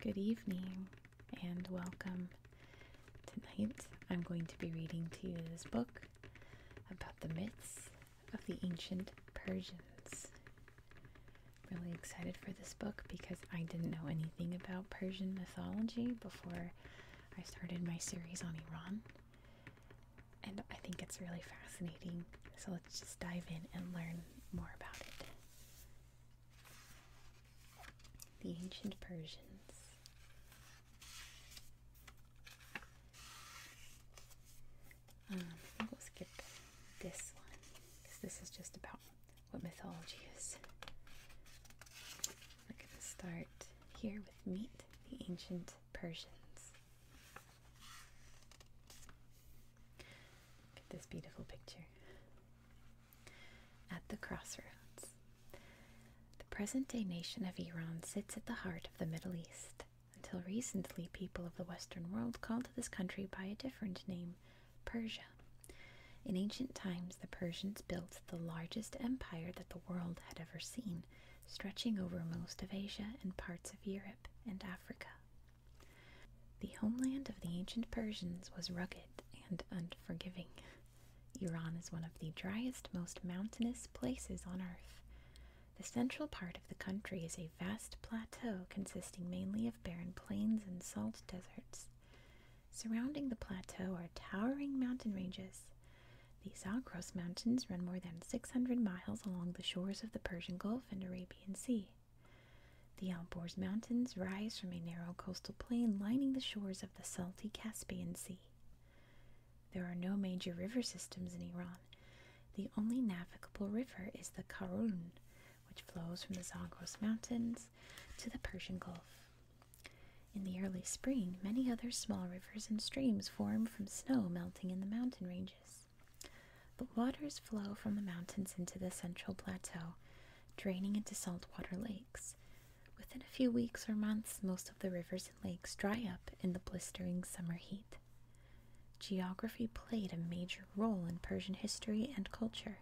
Good evening and welcome. Tonight I'm going to be reading to you this book about the myths of the ancient Persians. Really excited for this book because I didn't know anything about Persian mythology before I started my series on Iran. And I think it's really fascinating. So let's just dive in and learn more about it. The ancient Persians. Um, we'll skip this one because this is just about what mythology is. I'm going to start here with meat the ancient Persians. Look at this beautiful picture. At the crossroads. The present day nation of Iran sits at the heart of the Middle East. Until recently, people of the Western world called this country by a different name, Persia. In ancient times, the Persians built the largest empire that the world had ever seen stretching over most of Asia and parts of Europe and Africa. The homeland of the ancient Persians was rugged and unforgiving. Iran is one of the driest, most mountainous places on earth. The central part of the country is a vast plateau consisting mainly of barren plains and salt deserts. Surrounding the plateau are towering mountain ranges. The Zagros Mountains run more than 600 miles along the shores of the Persian Gulf and Arabian Sea. The Alborz Mountains rise from a narrow coastal plain lining the shores of the salty Caspian Sea. There are no major river systems in Iran. The only navigable river is the Karun, which flows from the Zagros Mountains to the Persian Gulf. In the early spring, many other small rivers and streams form from snow melting in the mountain ranges. The waters flow from the mountains into the central plateau, draining into saltwater lakes. Within a few weeks or months, most of the rivers and lakes dry up in the blistering summer heat. Geography played a major role in Persian history and culture.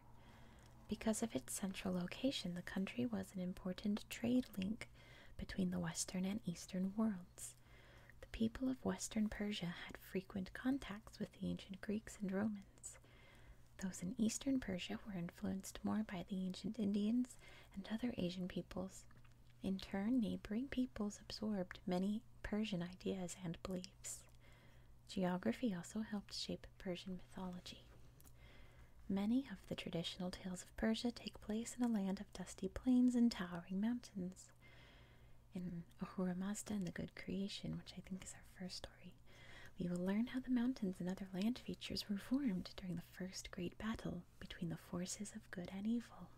Because of its central location, the country was an important trade link between the Western and Eastern worlds. The people of Western Persia had frequent contacts with the ancient Greeks and Romans. Those in Eastern Persia were influenced more by the ancient Indians and other Asian peoples. In turn, neighboring peoples absorbed many Persian ideas and beliefs. Geography also helped shape Persian mythology. Many of the traditional tales of Persia take place in a land of dusty plains and towering mountains. In Ahura Mazda and the Good Creation, which I think is our first story, we will learn how the mountains and other land features were formed during the first great battle between the forces of good and evil.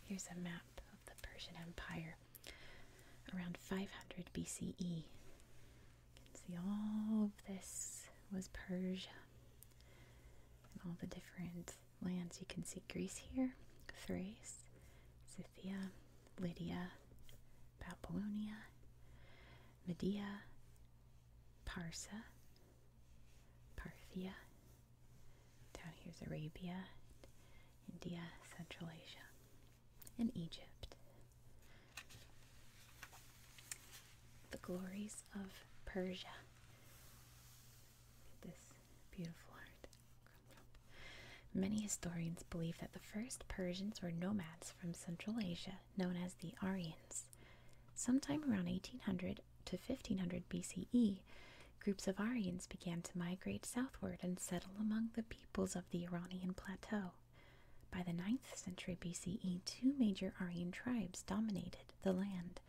Here's a map of the Persian Empire around 500 BCE. You can see all of this was Persia. And all the different lands. You can see Greece here, Thrace, Scythia, Lydia, Babylonia, Media, Parsa, Parthia. Down here's Arabia, India, Central Asia, and Egypt the glories of Persia. This beautiful art. Many historians believe that the first Persians were nomads from Central Asia known as the Aryans. Sometime around 1800 to 1500 BCE, groups of Aryans began to migrate southward and settle among the peoples of the Iranian plateau. By the 9th century BCE, two major Aryan tribes dominated the land.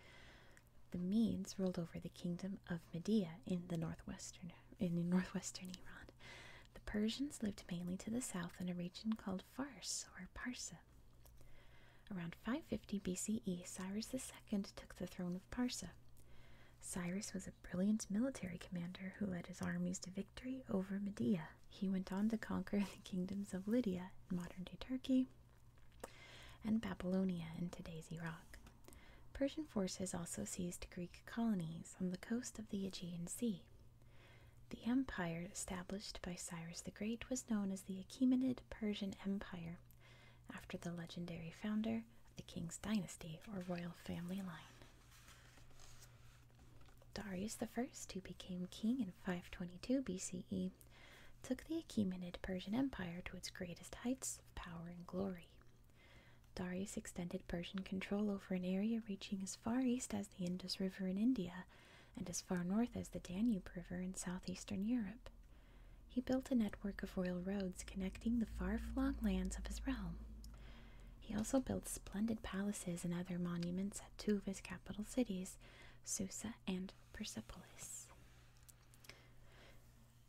The Medes ruled over the kingdom of Media in the northwestern in the northwestern Iran. The Persians lived mainly to the south in a region called Fars or Parsa. Around 550 BCE, Cyrus II took the throne of Parsa. Cyrus was a brilliant military commander who led his armies to victory over Media he went on to conquer the kingdoms of Lydia in modern day Turkey and Babylonia in today's Iraq. Persian forces also seized Greek colonies on the coast of the Aegean Sea. The empire established by Cyrus the Great was known as the Achaemenid Persian Empire, after the legendary founder of the king's dynasty or royal family line. Darius I, who became king in 522 BCE, took the Achaemenid Persian Empire to its greatest heights of power and glory. Darius extended Persian control over an area reaching as far east as the Indus River in India and as far north as the Danube River in southeastern Europe. He built a network of royal roads connecting the far flung lands of his realm. He also built splendid palaces and other monuments at two of his capital cities, Susa and Persepolis.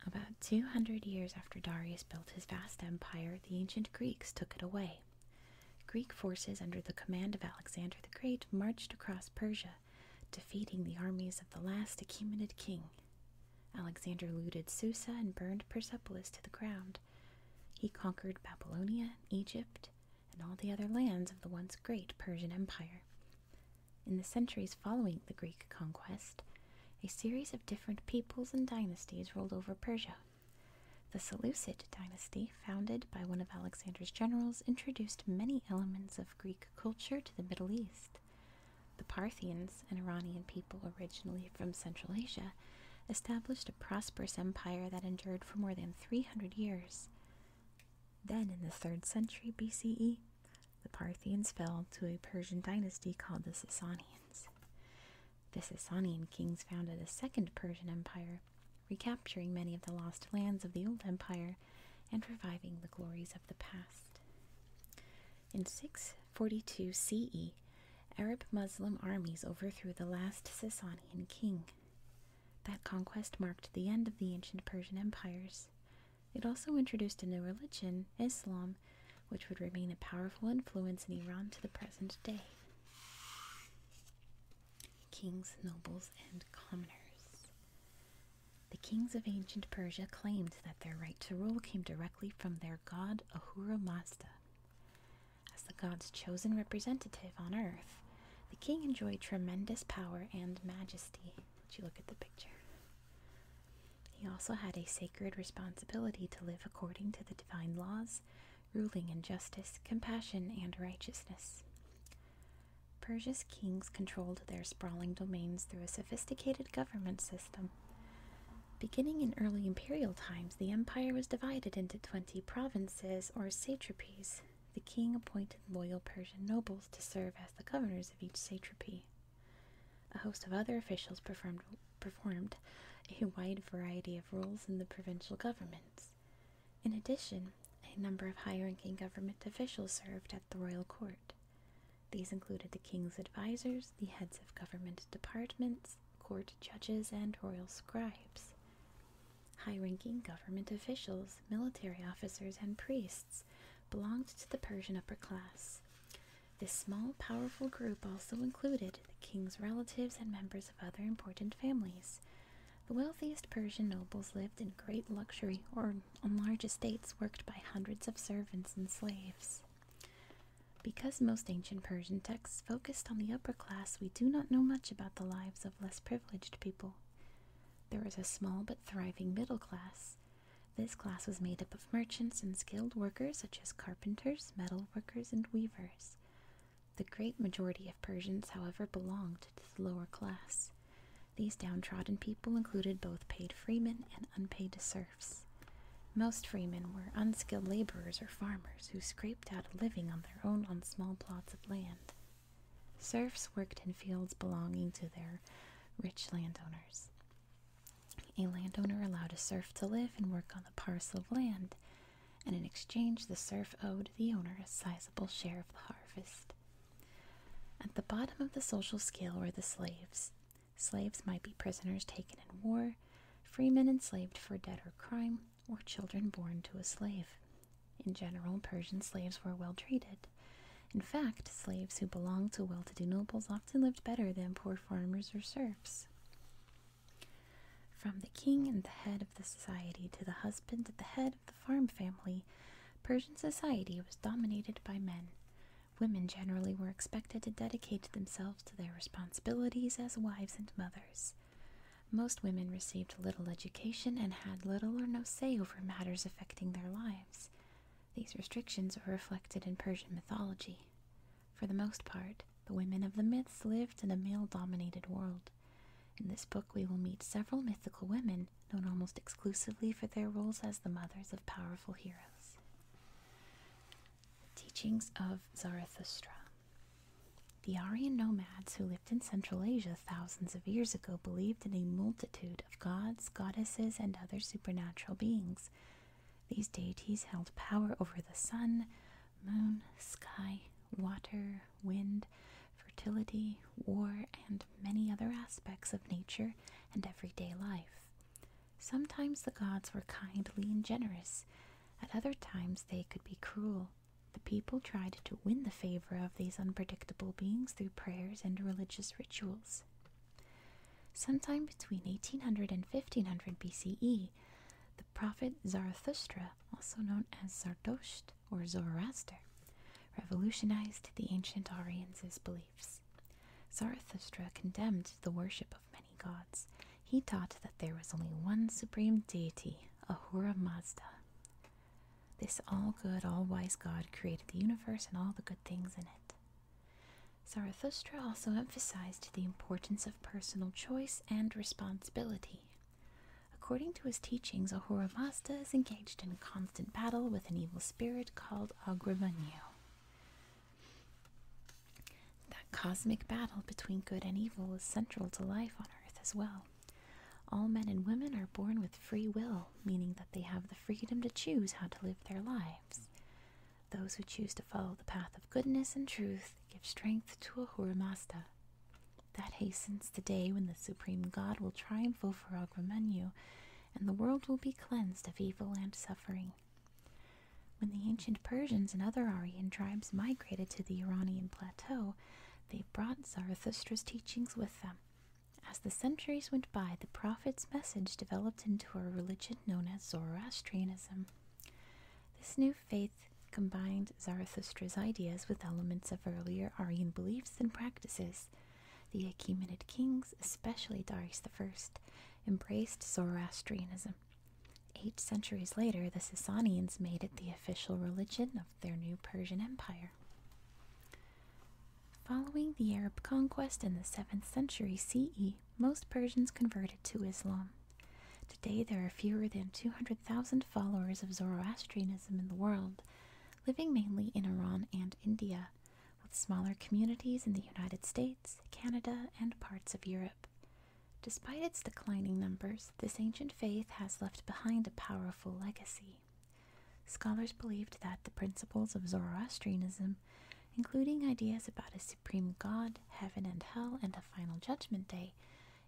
About 200 years after Darius built his vast empire, the ancient Greeks took it away. Greek forces under the command of Alexander the Great marched across Persia, defeating the armies of the last Achaemenid king. Alexander looted Susa and burned Persepolis to the ground. He conquered Babylonia, Egypt, and all the other lands of the once great Persian Empire. In the centuries following the Greek conquest, a series of different peoples and dynasties ruled over Persia. The Seleucid dynasty, founded by one of Alexander's generals, introduced many elements of Greek culture to the Middle East. The Parthians, an Iranian people originally from Central Asia, established a prosperous empire that endured for more than 300 years. Then, in the 3rd century BCE, the Parthians fell to a Persian dynasty called the Sassanians. The Sassanian kings founded a second Persian empire, recapturing many of the lost lands of the old empire and reviving the glories of the past. In 642 CE, Arab Muslim armies overthrew the last Sassanian king. That conquest marked the end of the ancient Persian empires. It also introduced a new religion, Islam, which would remain a powerful influence in Iran to the present day. Kings, nobles, and commoners. The kings of ancient Persia claimed that their right to rule came directly from their god Ahura Mazda. As the god's chosen representative on earth, the king enjoyed tremendous power and majesty. Did you look at the picture? He also had a sacred responsibility to live according to the divine laws, ruling in justice, compassion, and righteousness. Persia's kings controlled their sprawling domains through a sophisticated government system. Beginning in early imperial times, the empire was divided into 20 provinces or satrapies, the king appointed loyal Persian nobles to serve as the governors of each satrapy. A host of other officials performed, performed a wide variety of roles in the provincial governments. In addition, a number of high ranking government officials served at the royal court. These included the king's advisers, the heads of government departments, court judges, and royal scribes. High ranking government officials, military officers, and priests belonged to the Persian upper class. This small, powerful group also included the king's relatives and members of other important families. The wealthiest Persian nobles lived in great luxury or on large estates worked by hundreds of servants and slaves. Because most ancient Persian texts focused on the upper class, we do not know much about the lives of less privileged people. There was a small but thriving middle class. This class was made up of merchants and skilled workers such as carpenters, metal workers, and weavers. The great majority of Persians, however, belonged to the lower class. These downtrodden people included both paid freemen and unpaid serfs. Most freemen were unskilled laborers or farmers who scraped out a living on their own on small plots of land. Serfs worked in fields belonging to their rich landowners. A landowner allowed a serf to live and work on the parcel of land, and in exchange, the serf owed the owner a sizable share of the harvest. At the bottom of the social scale were the slaves. Slaves might be prisoners taken in war, freemen enslaved for debt or crime, or children born to a slave. In general, Persian slaves were well treated. In fact, slaves who belonged to well to do nobles often lived better than poor farmers or serfs. From the king and the head of the society to the husband at the head of the farm family, Persian society was dominated by men. Women generally were expected to dedicate themselves to their responsibilities as wives and mothers. Most women received little education and had little or no say over matters affecting their lives. These restrictions are reflected in Persian mythology. For the most part, the women of the myths lived in a male dominated world. In this book, we will meet several mythical women known almost exclusively for their roles as the mothers of powerful heroes. Teachings of Zarathustra The Aryan nomads who in Central Asia thousands of years ago believed in a multitude of gods, goddesses, and other supernatural beings. These deities held power over the sun, moon, sky, water, wind, fertility, war, and many other aspects of nature and everyday life. Sometimes the gods were kindly and generous, at other times they could be cruel, the people tried to win the favor of these unpredictable beings through prayers and religious rituals. Sometime between 1800 and 1500 BCE, the prophet Zarathustra, also known as Zardosht or Zoroaster, revolutionized the ancient Aryans' beliefs. Zarathustra condemned the worship of many gods. He taught that there was only one supreme deity, Ahura Mazda. This all good, all wise God created the universe and all the good things in it. Zarathustra also emphasized the importance of personal choice and responsibility. According to his teachings, Ahura Mazda is engaged in a constant battle with an evil spirit called Agravanyu. That cosmic battle between good and evil is central to life on Earth as well. All men and women are born with free will, meaning that they have the freedom to choose how to live their lives. Those who choose to follow the path of goodness and truth give strength to Ahura Mazda. That hastens the day when the Supreme God will triumph over Agramunyu, and the world will be cleansed of evil and suffering. When the ancient Persians and other Aryan tribes migrated to the Iranian plateau, they brought Zarathustra's teachings with them, as the centuries went by, the prophet's message developed into a religion known as Zoroastrianism. This new faith combined Zarathustra's ideas with elements of earlier Aryan beliefs and practices. The Achaemenid kings, especially Darius I, embraced Zoroastrianism. Eight centuries later, the Sassanians made it the official religion of their new Persian Empire. Following the Arab conquest in the 7th century CE, most Persians converted to Islam. Today there are fewer than 200,000 followers of Zoroastrianism in the world, living mainly in Iran and India, with smaller communities in the United States, Canada, and parts of Europe. Despite its declining numbers, this ancient faith has left behind a powerful legacy. Scholars believed that the principles of Zoroastrianism, including ideas about a supreme god, heaven and hell, and a final judgment day,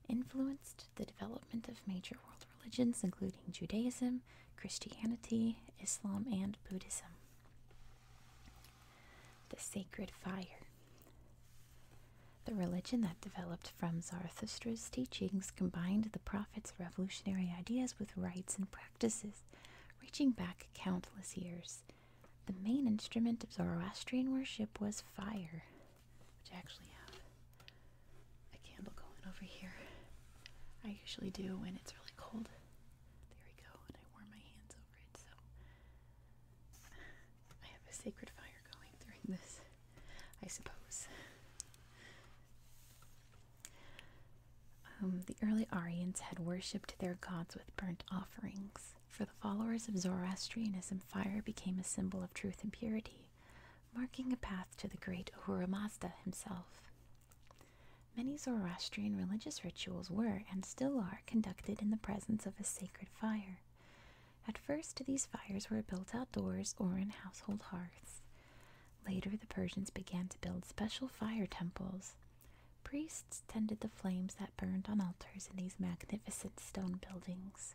influenced the development of major world religions, including Judaism, Christianity, Islam, and Buddhism. The Sacred Fire. The religion that developed from Zarathustra's teachings combined the its revolutionary ideas with rites and practices, reaching back countless years. The main instrument of Zoroastrian worship was fire, which I actually have a candle going over here. I usually do when it's really cold. There we go, and I warm my hands over it, so I have a sacred fire going during this, I suppose. Um, the early Aryans had worshipped their gods with burnt offerings. For the followers of Zoroastrianism, fire became a symbol of truth and purity, marking a path to the great Ahura Mazda himself. Many Zoroastrian religious rituals were, and still are, conducted in the presence of a sacred fire. At first, these fires were built outdoors or in household hearths. Later, the Persians began to build special fire temples. Priests tended the flames that burned on altars in these magnificent stone buildings.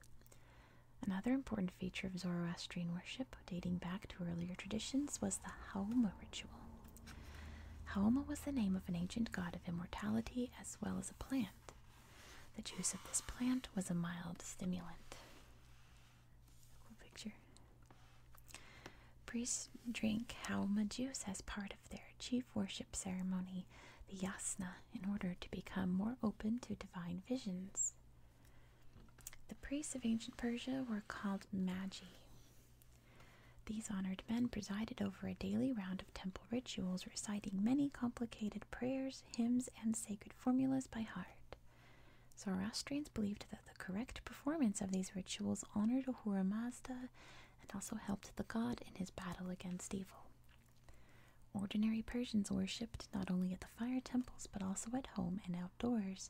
Another important feature of Zoroastrian worship, dating back to earlier traditions, was the Haoma ritual. Haoma was the name of an ancient god of immortality as well as a plant. The juice of this plant was a mild stimulant. Priests drink halma juice as part of their chief worship ceremony, the yasna, in order to become more open to divine visions. The priests of ancient Persia were called magi. These honored men presided over a daily round of temple rituals, reciting many complicated prayers, hymns, and sacred formulas by heart. Zoroastrians believed that the correct performance of these rituals honored Ahura Mazda and also helped the god in his battle against evil. Ordinary Persians worshipped not only at the fire temples but also at home and outdoors.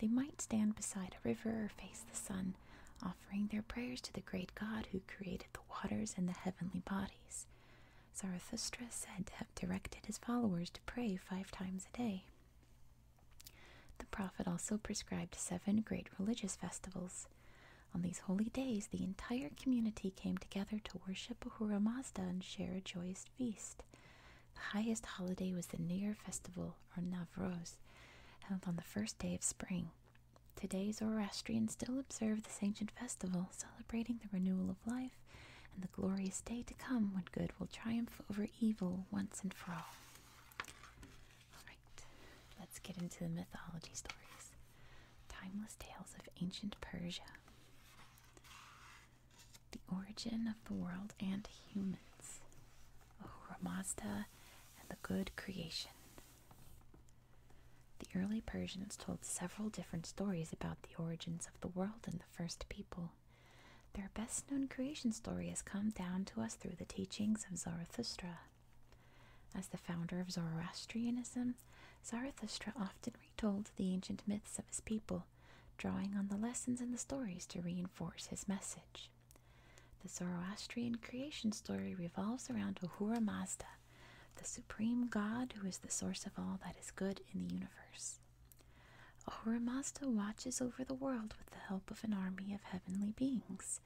They might stand beside a river or face the sun, offering their prayers to the great God who created the waters and the heavenly bodies. Zarathustra is said to have directed his followers to pray five times a day. The prophet also prescribed seven great religious festivals. On these holy days, the entire community came together to worship Ahura Mazda and share a joyous feast. The highest holiday was the New Year festival, or Navroz, held on the first day of spring. Today, Zoroastrians still observe this ancient festival, celebrating the renewal of life and the glorious day to come when good will triumph over evil once and for all. Alright, let's get into the mythology stories. Timeless Tales of Ancient Persia. The Origin of the World and Humans. Ahura Mazda and the Good Creation. The early Persians told several different stories about the origins of the world and the first people. Their best known creation story has come down to us through the teachings of Zarathustra. As the founder of Zoroastrianism, Zarathustra often retold the ancient myths of his people, drawing on the lessons in the stories to reinforce his message. The Zoroastrian creation story revolves around Ahura Mazda, the supreme god who is the source of all that is good in the universe. Ahura Oramasta watches over the world with the help of an army of heavenly beings.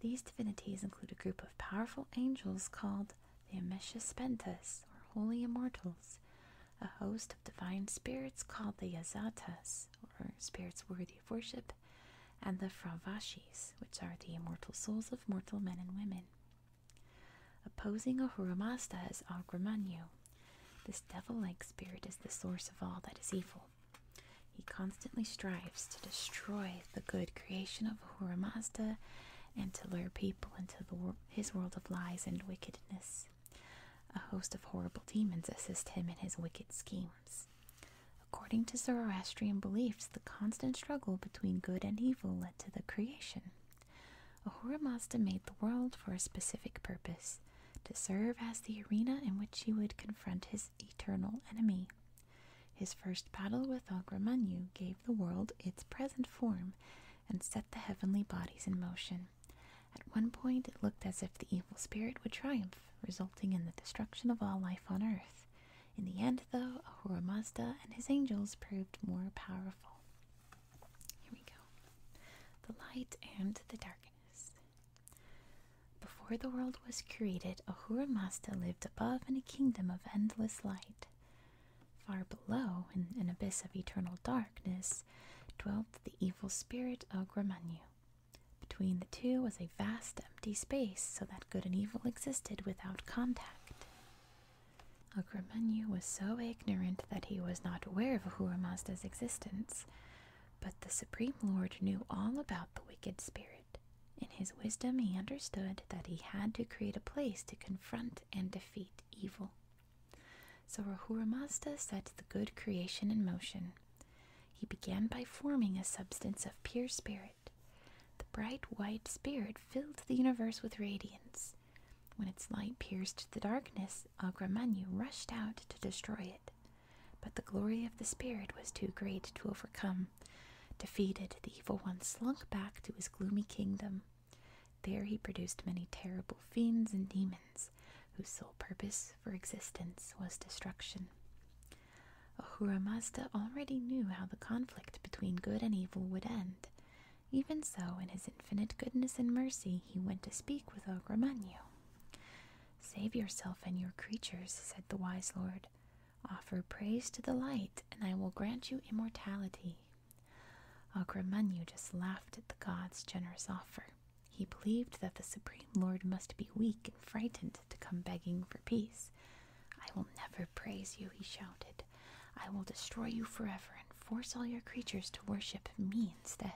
These divinities include a group of powerful angels called the Amesha Spentas or Holy Immortals, a host of divine spirits called the Yazatas, or spirits worthy of worship, and the Fravashis, which are the immortal souls of mortal men and women. Opposing Ahura Ohuramasta is Agramanyu, this devil like spirit is the source of all that is evil. He constantly strives to destroy the good creation of Ahura Mazda and to lure people into his world of lies and wickedness. A host of horrible demons assist him in his wicked schemes. According to Zoroastrian beliefs, the constant struggle between good and evil led to the creation. Ahura Mazda made the world for a specific purpose to serve as the arena in which he would confront his eternal enemy. His first battle with Agramanyu gave the world its present form and set the heavenly bodies in motion. At one point, it looked as if the evil spirit would triumph, resulting in the destruction of all life on earth. In the end, though, Ahura Mazda and his angels proved more powerful. Here we go. The light and the dark darkness. Before the world was created, Ahura Mazda lived above in a kingdom of endless light. Far below, in an abyss of eternal darkness, dwelt the evil spirit of Gramanyu. Between the two was a vast empty space so that good and evil existed without contact. Agramanyu was so ignorant that he was not aware of Ahura Mazda's existence. But the Supreme Lord knew all about the wicked spirit. In his wisdom, he understood that he had to create a place to confront and defeat evil. So Rahura Mazda set the good creation in motion. He began by forming a substance of pure spirit. The bright white spirit filled the universe with radiance. When its light pierced the darkness, Agramanyu rushed out to destroy it. But the glory of the spirit was too great to overcome. Defeated, the evil one slunk back to his gloomy kingdom. There he produced many terrible fiends and demons, whose sole purpose for existence was destruction. Ahura Mazda already knew how the conflict between good and evil would end. Even so, in his infinite goodness and mercy, he went to speak with Agramanyu. Save yourself and your creatures, said the wise lord. Offer praise to the light, and I will grant you immortality. Agramunyu just laughed at the god's generous offer. He believed that the Supreme Lord must be weak and frightened to come begging for peace. I will never praise you, he shouted. I will destroy you forever and force all your creatures to worship me instead.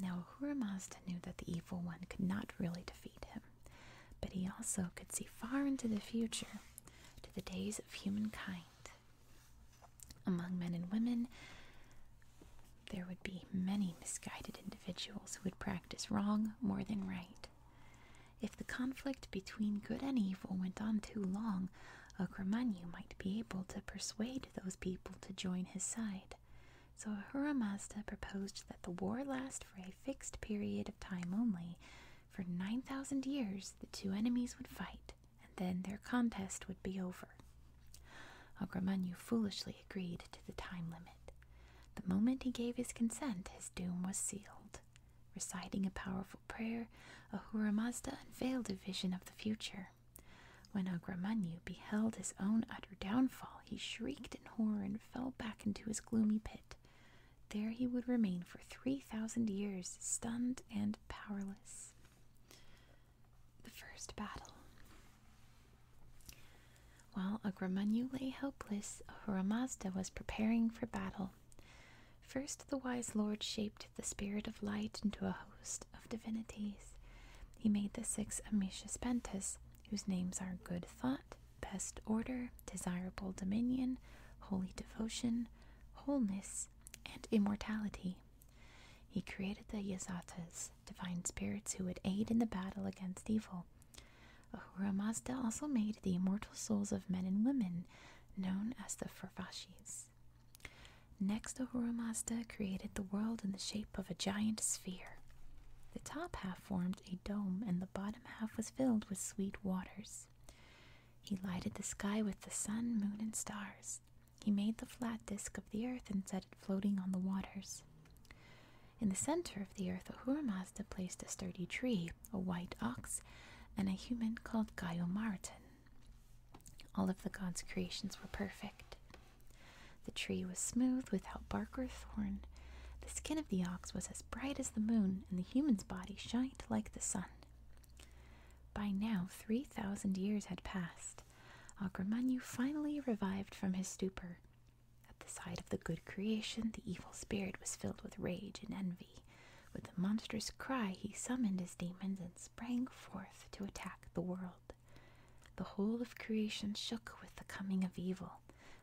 Now, Ahura Mazda knew that the evil one could not really defeat him, but he also could see far into the future, to the days of humankind. Among men and women, there would be many misguided individuals who would practice wrong more than right. If the conflict between good and evil went on too long, Akramanyu might be able to persuade those people to join his side. So Ahura Mazda proposed that the war last for a fixed period of time only. For 9,000 years, the two enemies would fight, and then their contest would be over. Agramanyu foolishly agreed to the time limit. The moment he gave his consent, his doom was sealed. Reciting a powerful prayer, Ahura Mazda unveiled a vision of the future. When Agramanyu beheld his own utter downfall, he shrieked in horror and fell back into his gloomy pit. There he would remain for three thousand years, stunned and powerless. The first battle. While Agramanyu lay helpless, Ahura was preparing for battle. First, the wise lord shaped the spirit of light into a host of divinities. He made the six Amicius Pentas, whose names are Good Thought, Best Order, Desirable Dominion, Holy Devotion, Wholeness, and Immortality. He created the Yazatas, divine spirits who would aid in the battle against evil. Ahura Mazda also made the immortal souls of men and women, known as the Farfashis. Next, Uhura created the world in the shape of a giant sphere. The top half formed a dome, and the bottom half was filled with sweet waters. He lighted the sky with the sun, moon, and stars. He made the flat disk of the earth and set it floating on the waters. In the center of the earth, Ahura placed a sturdy tree, a white ox, and a human called Gaio All of the god's creations were perfect. The tree was smooth, without bark or thorn. The skin of the ox was as bright as the moon, and the human's body shined like the sun. By now, three thousand years had passed. Agramanyu finally revived from his stupor. At the sight of the good creation, the evil spirit was filled with rage and envy. With a monstrous cry, he summoned his demons and sprang forth to attack the world. The whole of creation shook with the coming of evil.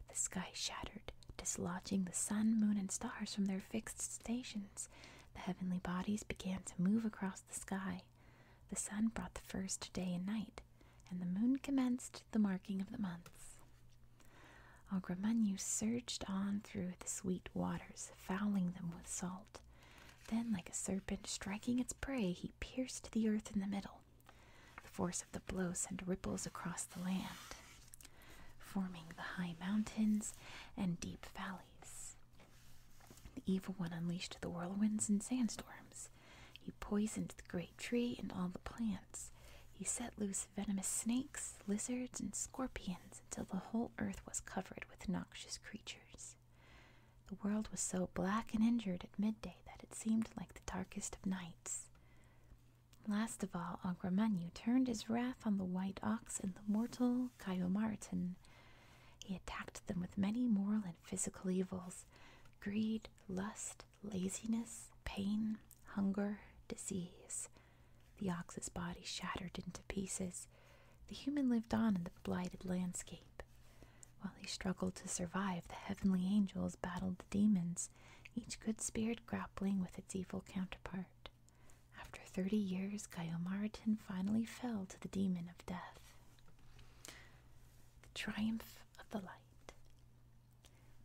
The sky shattered, dislodging the sun, moon, and stars from their fixed stations. The heavenly bodies began to move across the sky. The sun brought the first day and night, and the moon commenced the marking of the months. Ogramanyu surged on through the sweet waters, fouling them with salt. Then, like a serpent striking its prey, he pierced the earth in the middle. The force of the blow sent ripples across the land, forming the high mountains and deep valleys. The evil one unleashed the whirlwinds and sandstorms. He poisoned the great tree and all the plants. He set loose venomous snakes, lizards, and scorpions until the whole earth was covered with noxious creatures. The world was so black and injured at midday that it seemed like the darkest of nights. Last of all, Agramanyu turned his wrath on the white ox and the mortal Caiomartin. He attacked them with many moral and physical evils greed, lust, laziness, pain, hunger, disease. The ox's body shattered into pieces, the human lived on in the blighted landscape. While he struggled to survive, the heavenly angels battled the demons, each good spirit grappling with its evil counterpart. After thirty years, Gaiomartin finally fell to the demon of death. The triumph of the light.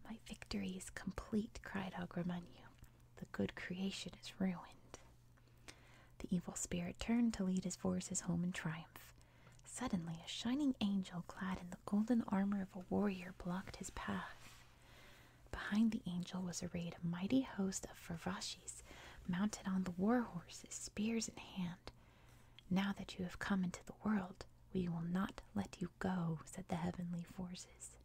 My victory is complete, cried Agramanu. The good creation is ruined. The evil spirit turned to lead his forces home in triumph. Suddenly, a shining angel clad in the golden armor of a warrior blocked his path. Behind the angel was arrayed a mighty host of Farvashis, mounted on the war horses, spears in hand. Now that you have come into the world, we will not let you go, said the heavenly forces.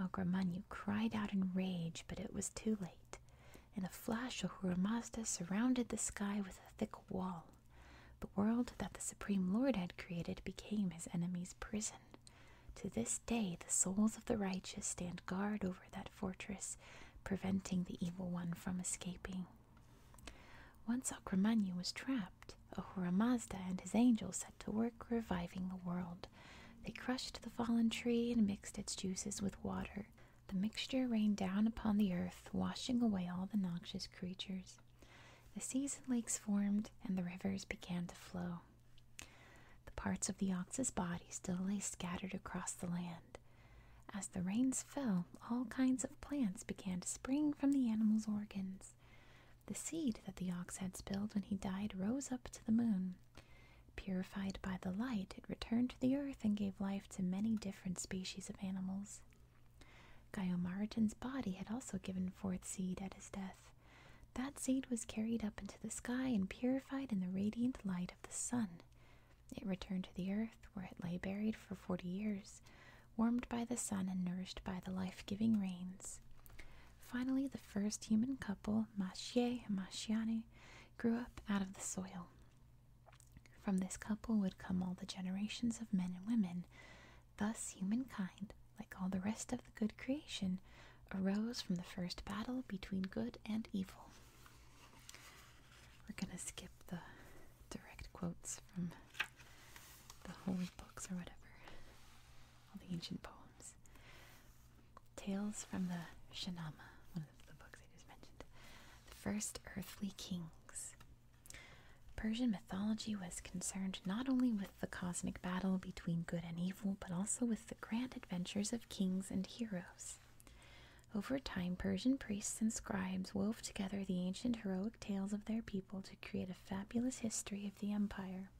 Agramanyu cried out in rage, but it was too late. In a flash, Ahura Mazda surrounded the sky with a thick wall. The world that the Supreme Lord had created became his enemy's prison. To this day, the souls of the righteous stand guard over that fortress, preventing the evil one from escaping. Once Akramanyu was trapped, Ahura Mazda and his angels set to work reviving the world. They crushed the fallen tree and mixed its juices with water. The mixture rained down upon the earth, washing away all the noxious creatures. The seas and lakes formed, and the rivers began to flow. The parts of the ox's body still lay scattered across the land. As the rains fell, all kinds of plants began to spring from the animal's organs. The seed that the ox had spilled when he died rose up to the moon. Purified by the light, it returned to the earth and gave life to many different different species of animals. Gaiomaritin's body had also given forth seed at his death. That seed was carried up into the sky and purified in the radiant light of the sun. It returned to the earth, where it lay buried for forty years, warmed by the sun and nourished by the life giving rains. Finally, the first human couple, Machier and Machiane, grew up out of the soil. From this couple would come all the generations of men and women. Thus, humankind, like all the rest of the good creation, arose from the first battle between good and evil. We're going to skip the direct quotes from the holy books or whatever, all the ancient poems. Tales from the Shanama, the books I just mentioned. The First Earthly Kings. Persian mythology was concerned not only with the cosmic battle between good and evil, but also with the grand adventures of kings and heroes. Over time, Persian priests and scribes wove together the ancient heroic tales of their people to create a fabulous history of the empire.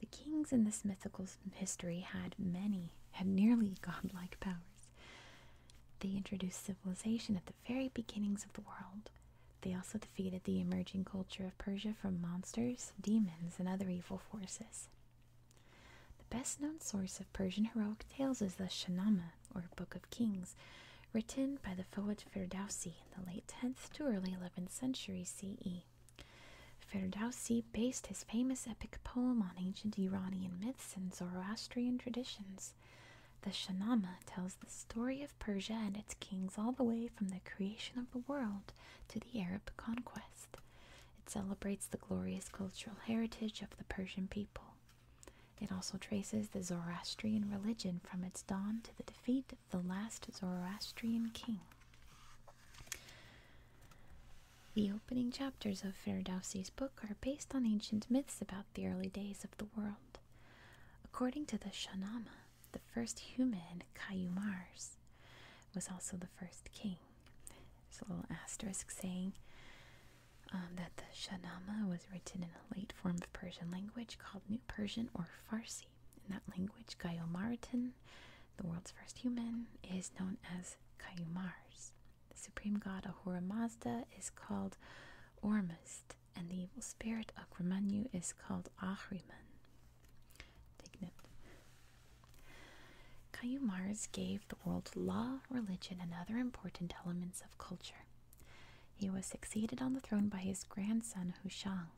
The kings in this mythical history had many, had nearly godlike powers. They introduced civilization at the very beginnings of the world. They also defeated the emerging culture of Persia from monsters, demons, and other evil forces. The best known source of Persian heroic tales is the Shahnameh, or Book of Kings, written by the poet Ferdowsi in the late 10th to early 11th century CE. Ferdowsi based his famous epic poem on ancient Iranian myths myths and Zoroastrian traditions. The Shahnameh tells the story of Persia and its kings all the way from the creation of the world to the Arab conquest. It celebrates the glorious cultural heritage of the Persian people. It also traces the Zoroastrian religion from its dawn to the defeat of the last Zoroastrian king. The opening chapters of Ferdowsi's book are based on ancient myths about the early days of the world. According to the Shahnameh, the first human, Kayumars, was also the first king. There's a little asterisk saying um, that the Shahnameh was written in a late form of Persian language called New Persian or Farsi. In that language, Kayumaritan, the world's first human, is known as Kayumars. The supreme god Ahura Mazda is called Ormuzd, and the evil spirit Akramanyu is called Ahriman. Take gave the world law, religion, and other important elements of culture. He was succeeded on the throne by his grandson Hushang.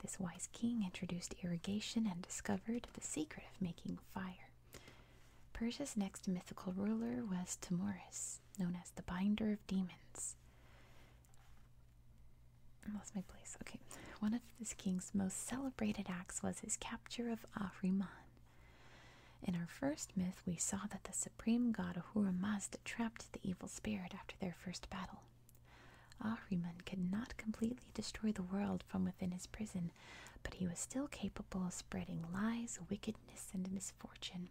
This wise king introduced irrigation and discovered the secret of making fire. Persia's next mythical ruler was Timorus, known as the Binder of Demons. I my place. Okay. One of this king's most celebrated acts was his capture of Ahriman. In our first myth, we saw that the supreme god Ahura trapped the evil spirit after their first battle. Ahriman could not completely destroy the world from within his prison, but he was still capable of spreading lies, wickedness, and misfortune.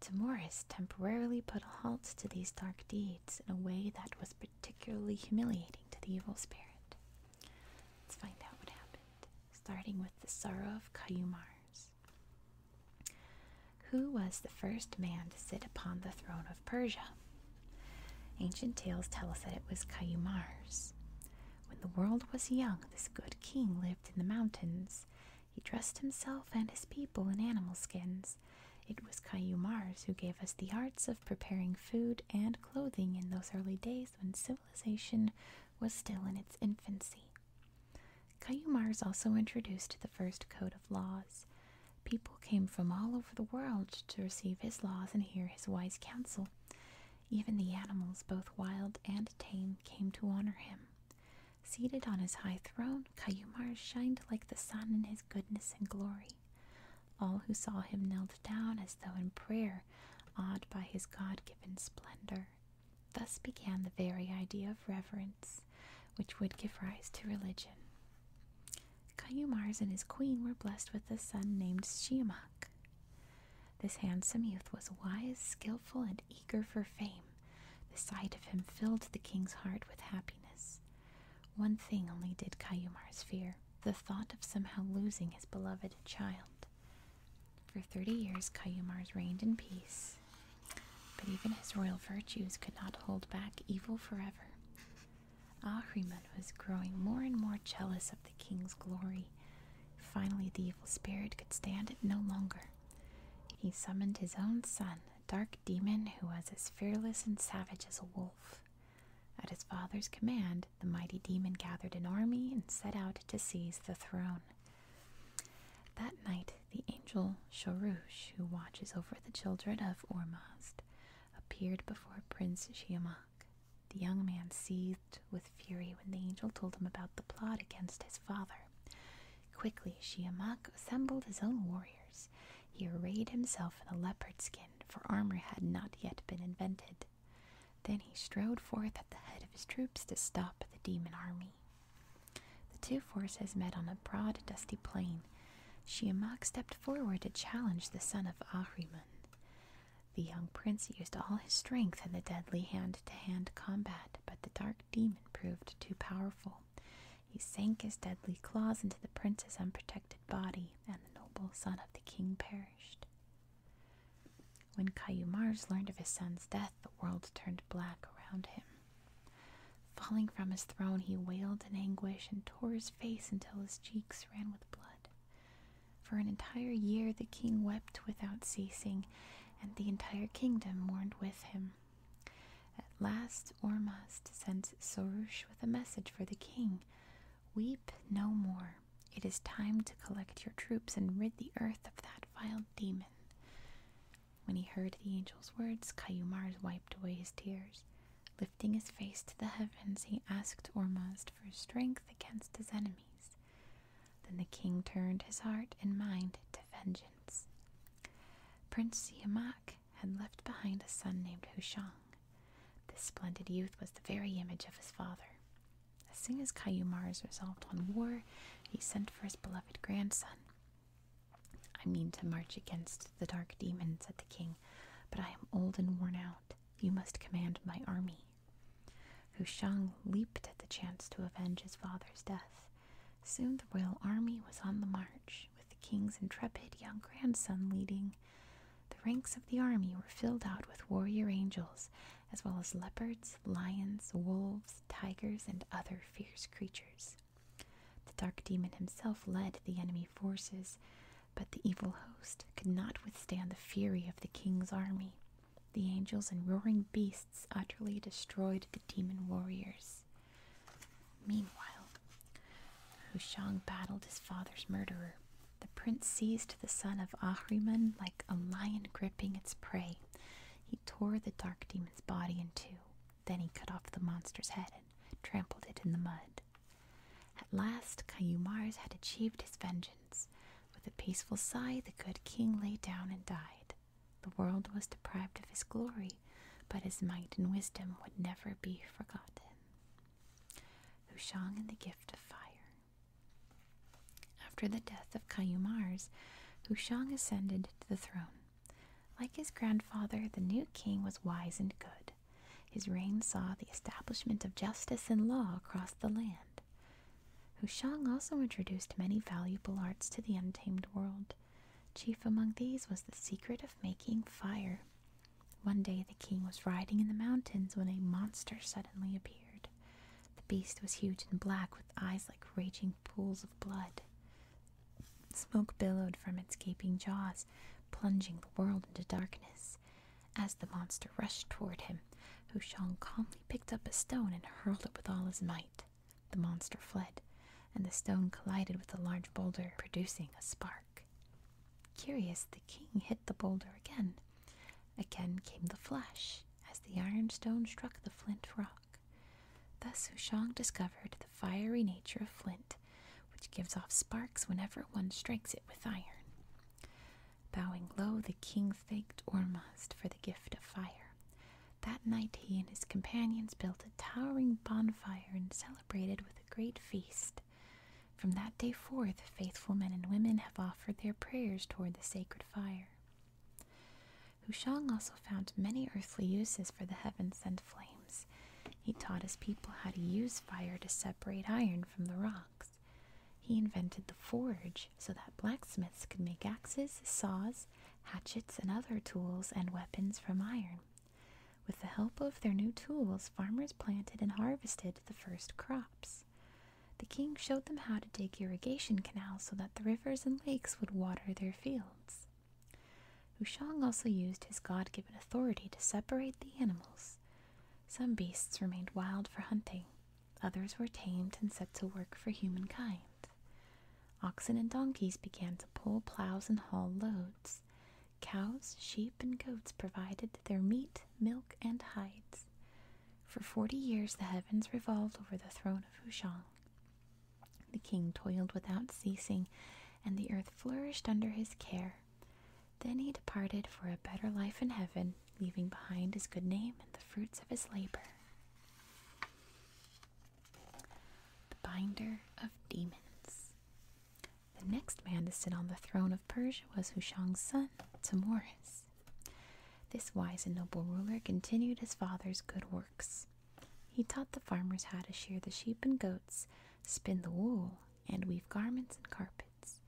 Timoris temporarily put a halt to these dark deeds in a way that was particularly humiliating to the evil spirit. Let's find out what happened, starting with the sorrow of Caiumars. Who was the first man to sit upon the throne of Persia? Ancient tales tell us that it was Caiumars. When the world was young, this good king lived in the mountains. He dressed himself and his people in animal skins. It was Cayumars who gave us the arts of preparing food and clothing in those early days when civilization was still in its infancy. Cayumars also introduced the first code of laws. People came from all over the world to receive his laws and hear his wise counsel. Even the animals, both wild and tame, came to honor him. Seated on his high throne, Kayumar shined like the sun in his goodness and glory. All who saw him knelt down as though in prayer, awed by his God given splendor. Thus began the very idea of reverence, which would give rise to religion. Kayumars and his queen were blessed with a son named Shiemak. This handsome youth was wise, skilful, and eager for fame. The sight of him filled the king's heart with happiness. One thing only did Cayumar's fear the thought of somehow losing his beloved child. For thirty years, Cayumar's reigned in peace, but even his royal virtues could not hold back evil forever. Ahriman was growing more and more jealous of the king's glory Finally, the evil spirit could stand it no longer. He summoned his own son, a dark demon who was as fearless and savage as a wolf. At his father's command, the mighty demon gathered an army and set out to seize the throne. That night, the angel Shorush, who watches over the children of Ormazd, appeared before Prince Shiamak. The young man seethed with fury when the angel told him about the plot against his father. Quickly, Shiamak assembled his own warriors. He arrayed himself in a leopard skin, for armor had not yet been invented. Then he strode forth at the head of his troops to stop the demon army. The two forces met on a broad, dusty plain. Shiamak stepped forward to challenge the son of Ahriman. The young prince used all his strength in the deadly hand to hand combat, but the dark demon proved too powerful. He sank his deadly claws into the prince's unprotected body, and the noble son of the king perished. When Cayumars learned of his son's death, the world turned black around him. Falling from his throne, he wailed in anguish and tore his face until his cheeks ran with blood. For an entire year the king wept without ceasing, and the entire kingdom mourned with him. At last Ormazd sent Sorush with a message for the king. Weep no more. It is time to collect your troops and rid the earth of that vile demon. When he heard the angel's words, Kayumars wiped away his tears. Lifting his face to the heavens, he asked Ormazd for strength against his enemies. Then the king turned his heart and mind to vengeance. Prince Siemak had left behind a son named Hushang. This splendid youth was the very image of his father. As soon as Kayumar's resolved on war, he sent for his beloved grandson. I mean to march against the dark demon, said the king, but I am old and worn out. You must command my army. Hushang leaped at the chance to avenge his father's death. Soon the royal army was on the march, with the king's intrepid young grandson leading. The ranks of the army were filled out with warrior angels, as well as leopards, lions, wolves, tigers, and other fierce creatures. The dark demon himself led the enemy forces, but the evil host could not withstand the fury of the king's army. The angels and roaring beasts utterly destroyed the demon warriors. Meanwhile, Hushang battled his father's murderer. The prince seized the son of Ahriman like a lion gripping its prey. He tore the dark demon's body in two. Then he cut off the monster's head and trampled it in the mud. At last, Kayumars had achieved his vengeance. With a peaceful sigh, the good king lay down and died. The world was deprived of his glory, but his might and wisdom would never be forgotten. Hushang and the Gift of Fire. After the death of Kayumars, Hushang ascended to the throne. Like his grandfather, the new king was wise and good. His reign saw the establishment of justice and law across the land. Hushang also introduced many valuable arts to the untamed world. Chief among these was the secret of making fire. One day the king was riding in the mountains when a monster suddenly appeared. The beast was huge and black with eyes like raging pools of blood. Smoke billowed from its gaping jaws, plunging the world into darkness. As the monster rushed toward him, Hushang calmly he picked up a stone and hurled it with all his might. The monster fled, and the stone collided with a large boulder, producing a spark. Curious, the king hit the boulder again. Again came the flash, as the iron stone struck the flint rock. Thus Hushang discovered the fiery nature of flint, which gives off sparks whenever one strikes it with iron. Bowing low, the king thanked Ormazd for the gift of fire. That night he and his companions built a towering bonfire and celebrated with a great feast. From that day forth, faithful men and women have offered their prayers toward the sacred fire. Hushang also found many earthly uses for the heaven sent flames. He taught his people how to use fire to separate iron from the rocks. He invented the forge so that blacksmiths could make axes, saws, hatchets, and other tools and weapons from iron. With the help of their new tools, farmers planted and harvested the first crops. The king showed them how to dig irrigation canals so that the rivers and lakes would water their fields. Wushang also used his God given authority to separate the animals. Some beasts remained wild for hunting, Others were tamed and set to work for humankind. Oxen and donkeys began to pull plows and haul loads. Cows, sheep, and goats provided their meat, milk, and hides. For forty years the heavens revolved over the throne of Hushang. The king toiled without ceasing, and the earth flourished under his care. Then he departed for a better life in heaven leaving behind his good name and the fruits of his labor. The Binder of Demons. The next man to sit on the throne of Persia was Hushang's son, Tamoris. This wise and noble ruler continued his father's good works. He taught the farmers how to shear the sheep and goats, spin the wool, and weave garments and carpets.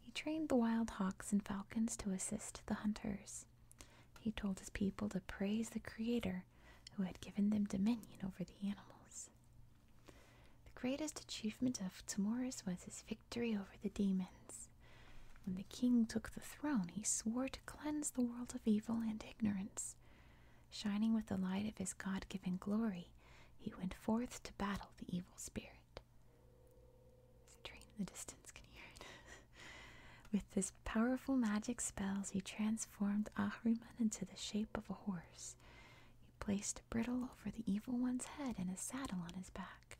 He trained the wild hawks and falcons to assist the hunters. He told his people to praise the Creator who had given them dominion over the animals. The greatest achievement of Timorus was his victory over the demons. When the king took the throne, he swore to cleanse the world of evil and ignorance. Shining with the light of his God given glory, he went forth to battle the evil spirit. The train in the distance can hear it. With his powerful magic spells, he transformed Ahriman into the shape of a horse. He placed a bridle over the evil one's head and a saddle on his back.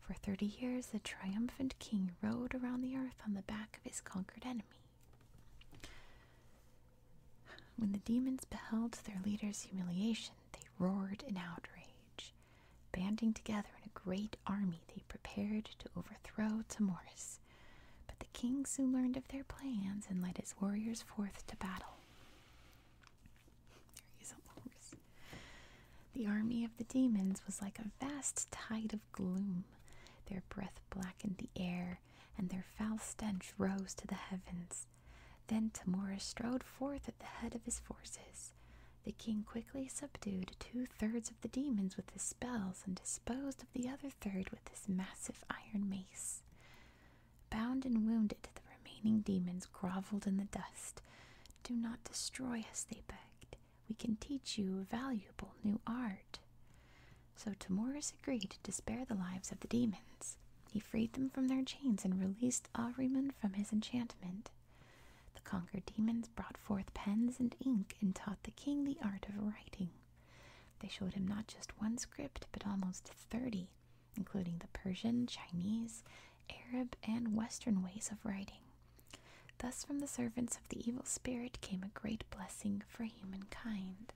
For thirty years, the triumphant king rode around the earth on the back of his conquered enemy. When the demons beheld their leader's humiliation, they roared in outrage. Banding together in a great army, they prepared to overthrow Timoris. But the king soon learned of their plans and led his warriors forth to battle. There a horse. The army of the demons was like a vast tide of gloom. Their breath blackened the air, and their foul stench rose to the heavens. Then Timoris strode forth at the head of his forces. The king quickly subdued two thirds of the demons with his spells and disposed of the other third with his massive iron mace. Bound and wounded, the remaining demons groveled in the dust. Do not destroy us, they begged. We can teach you valuable new art. So Timorous agreed to spare the lives of the demons. He freed them from their chains and released Ahriman from his enchantment. The conquered demons brought forth pens and ink and taught the king the art of writing. They showed him not just one script, but almost thirty, including the Persian, Chinese, Arab, and Western ways of writing. Thus, from the servants of the evil spirit came a great blessing for humankind.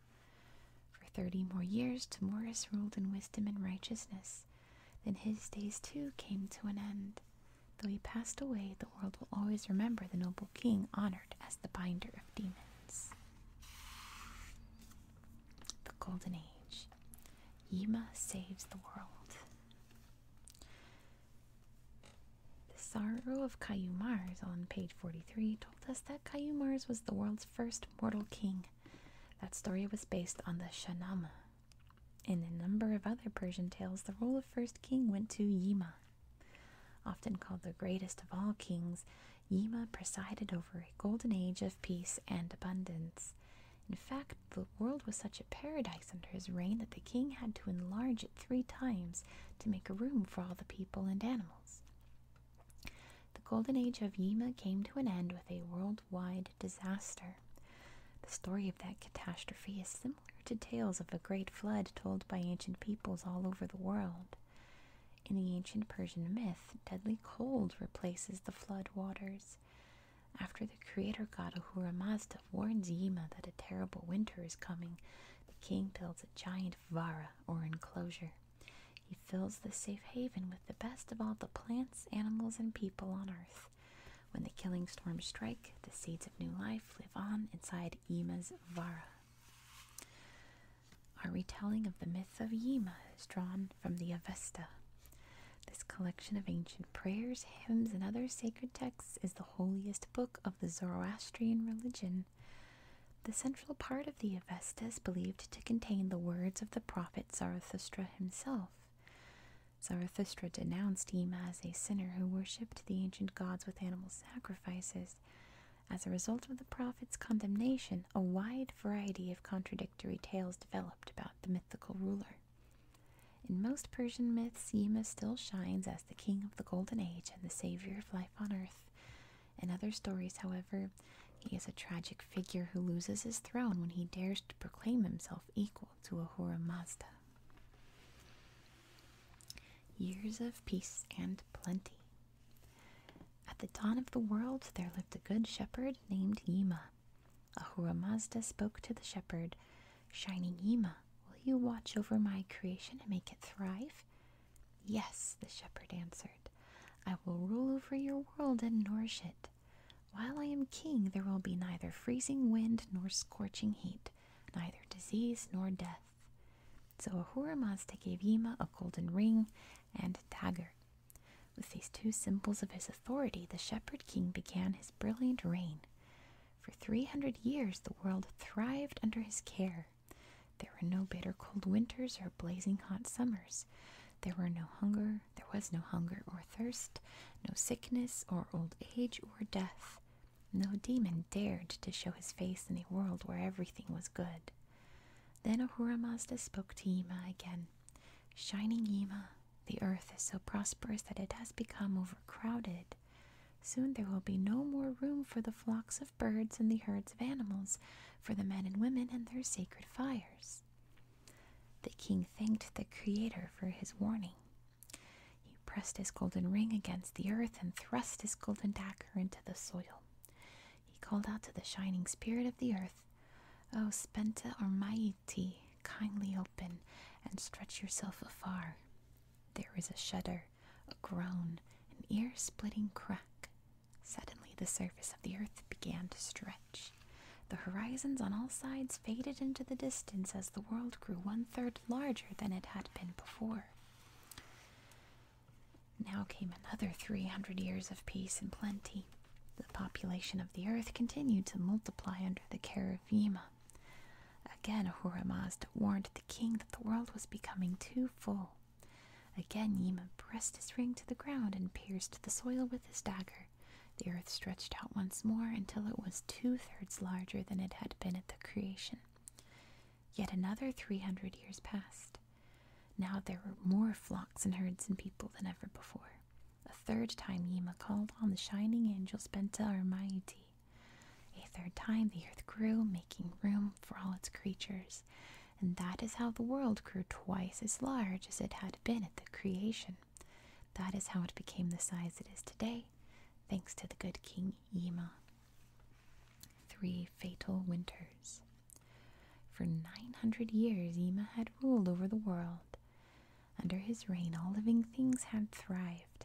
For thirty more years, Tamoris ruled in wisdom and righteousness. Then his days too came to an end. Though he passed away, the world will always remember the noble king honored as the binder of demons. The Golden Age. Yima saves the world. The Sorrow of Cayumars on page 43 told us that Cayumars was the world's first mortal king. That story was based on the Shahnama in a number of other Persian tales, the role of first king went to Yima. Often called the greatest of all kings, Yima presided over a golden age of peace and abundance. In fact, the world was such a paradise under his reign that the king had to enlarge it three times to make room for all the people and animals. The golden age of Yima came to an end with a worldwide disaster. The story of that catastrophe is simple similar to tales of a great flood told by ancient peoples all over the world. In the ancient Persian myth, deadly cold replaces the flood waters. After the creator god Ahura Mazda warns Yima that a terrible winter is coming, the king builds a giant vara or enclosure. He fills the safe haven with the best of all the plants, animals, and people on earth. When the killing storms strike, the seeds of new life live on inside Yima's Vara. Our retelling of the myth of Yima is drawn from the Avesta. This collection of ancient prayers, hymns, and other sacred texts is the holiest book of the Zoroastrian religion. The central part of the Avesta is believed to contain the words of the prophet Zarathustra himself. Zarathustra denounced him as a sinner who worshipped the ancient gods with animal sacrifices. As a result of the prophet's condemnation, a wide variety of contradictory tales developed about the mythical ruler. In most Persian myths, Yima still shines as the king of the Golden Age and the savior of life on earth. In other stories, however, he is a tragic figure who loses his throne when he dares to proclaim himself equal to Ahura Mazda. Years of peace and plenty. At the dawn of the world there lived a good shepherd named Yima. Ahura Mazda spoke to the shepherd, Shining Yima, will you watch over my creation and make it thrive? Yes, the shepherd answered. I will rule over your world and nourish it. While I am king, there will be neither freezing wind nor scorching heat neither disease nor death. So Ahura Mazda gave Yima a golden ring and a dagger. With these two symbols of his authority, the shepherd king began his brilliant reign. For 300 years, the world thrived under his care. There were no bitter cold winters or blazing hot summers. There were no hunger, there was no hunger or thirst, no sickness or old age or death. No demon dared to show his face in a world where everything was good. Then Ahura Mazda spoke to Yima again. Shining Yima, the earth is so prosperous that it has become overcrowded. Soon there will be no more room for the flocks of birds and the herds of animals, for the men and women and their sacred fires. The king thanked the Creator for his warning. He pressed his golden ring against the earth and thrust his golden dagger into the soil. He called out to the shining spirit of the earth, O Spenta Ormaiti, kindly open and stretch yourself afar. There was a shudder, a groan, an ear splitting crack. Suddenly the surface of the earth began to stretch. The horizons on all sides faded into the distance as the world grew one third larger than it had been before. Now came another 300 years of peace and plenty. The population of the earth continued to multiply under the care of Yima. Again, Horemazd warned the king that the world was becoming too full. Again, Yima pressed his ring to the ground and pierced the soil with his dagger. The earth stretched out once more until it was two thirds larger than it had been at the creation. Yet another three hundred years passed. Now there were more flocks and herds and people than ever before. A third time Yima called on the shining angels Benta Armaiti. A third time the earth grew, making room for all its creatures. And that is how the world grew twice as large as it had been at the creation. That is how it became the size it is today, thanks to the good King Yima. Three fatal winters. For 900 years, Ima had ruled over the world. Under his reign, all living things had thrived.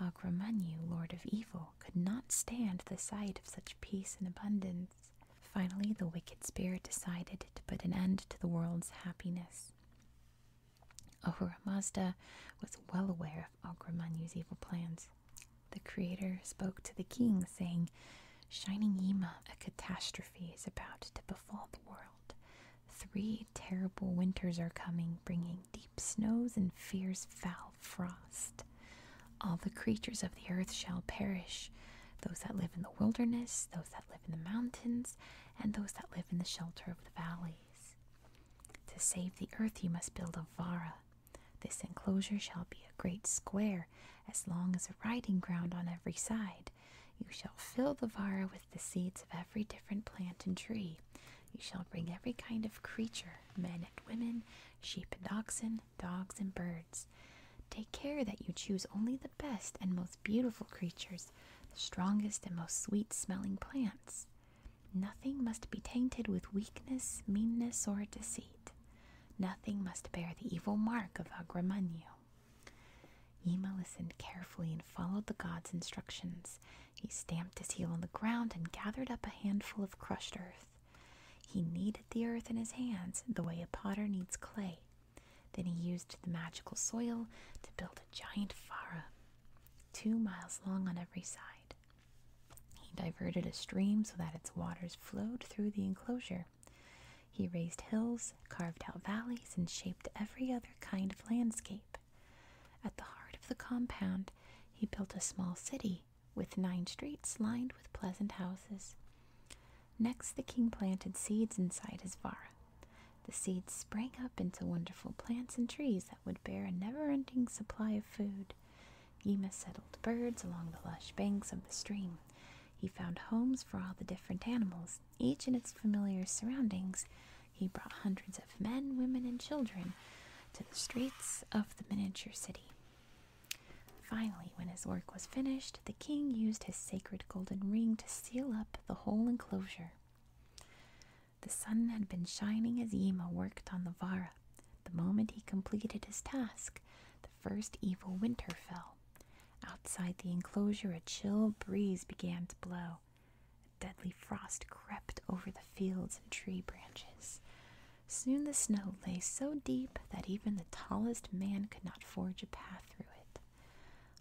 Agramanyu, lord of evil, could not stand the sight of such peace and abundance. Finally, the wicked spirit decided to put an end to the world's happiness. Ahura Mazda was well aware of Agramanya's evil plans. The creator spoke to the king, saying, Shining Yima, a catastrophe is about to befall the world. Three terrible winters are coming, bringing deep snows and fierce foul frost. All the creatures of the earth shall perish those that live in the wilderness, those that live in the mountains, and those that live in the shelter of the valleys. To save the earth, you must build a vara. This enclosure shall be a great square, as long as a riding ground on every side. You shall fill the vara with the seeds of every different plant and tree. You shall bring every kind of creature, men and women, sheep and oxen, dogs and birds. Take care that you choose only the best and most beautiful creatures, the strongest and most sweet smelling plants. Nothing must be tainted with weakness, meanness, or deceit. Nothing must bear the evil mark of Agramagno. Yima listened carefully and followed the god's instructions. He stamped his heel on the ground and gathered up a handful of crushed earth. He kneaded the earth in his hands the way a potter kneads clay. Then he used the magical soil to build a giant fara, two miles long on every side. He diverted a stream so that its waters flowed through the enclosure. He raised hills, carved out valleys, and shaped every other kind of landscape. At the heart of the compound, he built a small city with nine streets lined with pleasant houses. Next, the king planted seeds inside his vara. The seeds sprang up into wonderful plants and trees would bear a never-ending supply of food. Yima settled birds along the lush banks of the stream. He found homes for all the different animals, each in its familiar surroundings. He brought hundreds of men, women, and children to the streets of the miniature city. Finally, when his work was finished, the king used his sacred golden ring to seal up the whole enclosure. The sun had been shining as Yima worked on the Vara. The moment he completed his task, the first evil winter fell. Outside the enclosure, a chill breeze began to blow. A deadly frost crept over the fields and tree branches. Soon the snow lay so deep that even the tallest man could not forge a path through it.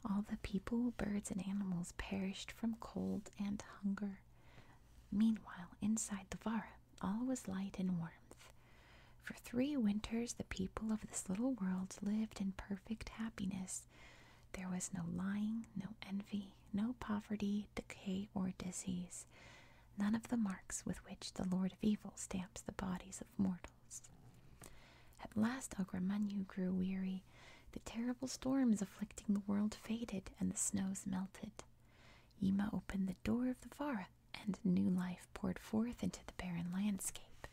All the people, birds, and animals perished from cold and hunger. Meanwhile, inside the Vara, all was light and warmth. For three winters, the people of this little world lived in perfect happiness. There was no lying, no envy, no poverty, decay, or disease, none of the marks with which the Lord of Evil stamps the bodies of mortals. At last Agramanyu grew weary the terrible storms afflicting the world faded, and the snows melted. Yima opened the door of the Vara, and new life poured forth into the barren landscape.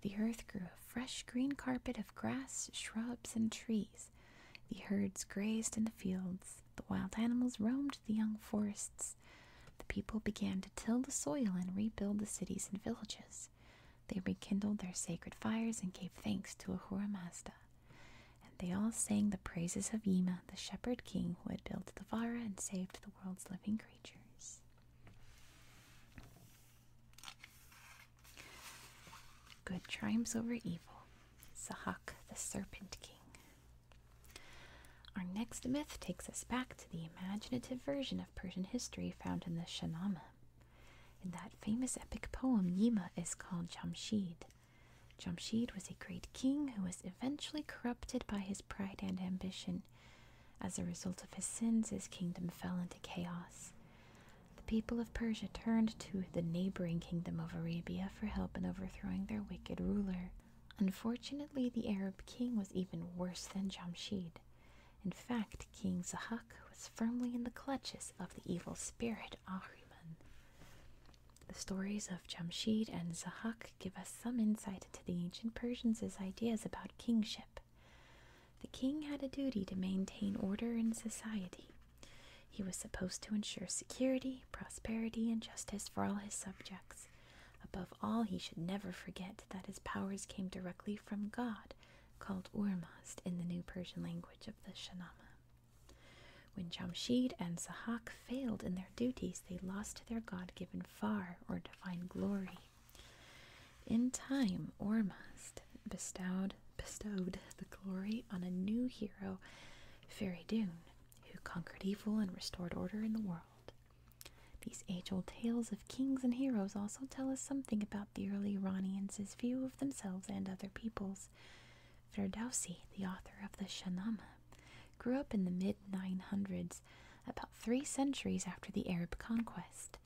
The earth grew a fresh green carpet of grass, shrubs, and trees. The herds grazed in the fields, the wild animals roamed the young forests. The people began to till the soil and rebuild the cities and villages. They rekindled their sacred fires and gave thanks to Ahura Mazda. And they all sang the praises of Yima, the shepherd king who had built the Vara and saved the world's living creatures. Good triumphs over evil. Sahak, the serpent king. Our next myth takes us back to the imaginative version of Persian history found in the Shahnameh. In that famous epic poem, Yima is called Jamshid, Jamshid was a great king who was eventually corrupted by his pride and ambition. As a result of his sins, his kingdom fell into chaos. The people of Persia turned to the neighboring kingdom of Arabia for help in overthrowing their wicked ruler. Unfortunately, the Arab king was even worse than Jamshid. In fact, King Zahak was firmly in the clutches of the evil spirit Ahriman. The stories of Jamshid and Zahak give us some insight into the ancient Persians' ideas about kingship. The king had a duty to maintain order in society. He was supposed to ensure security, prosperity, and justice for all his subjects. Above all, he should never forget that his powers came directly from God, called Urmazd in the New Persian language of the Shahnameh. When Jamshid and Sahak failed in their duties, they lost their God given far or divine glory. In time, Ormazd bestowed, bestowed the glory on a new hero, Feridun, who conquered evil and restored order in the world. These age old tales of kings and heroes also tell us something about the early Iranians' view of themselves and other peoples. Ferdowsi, the author of the Shahnameh, grew up in the mid-900s, about three centuries after the Arab conquest.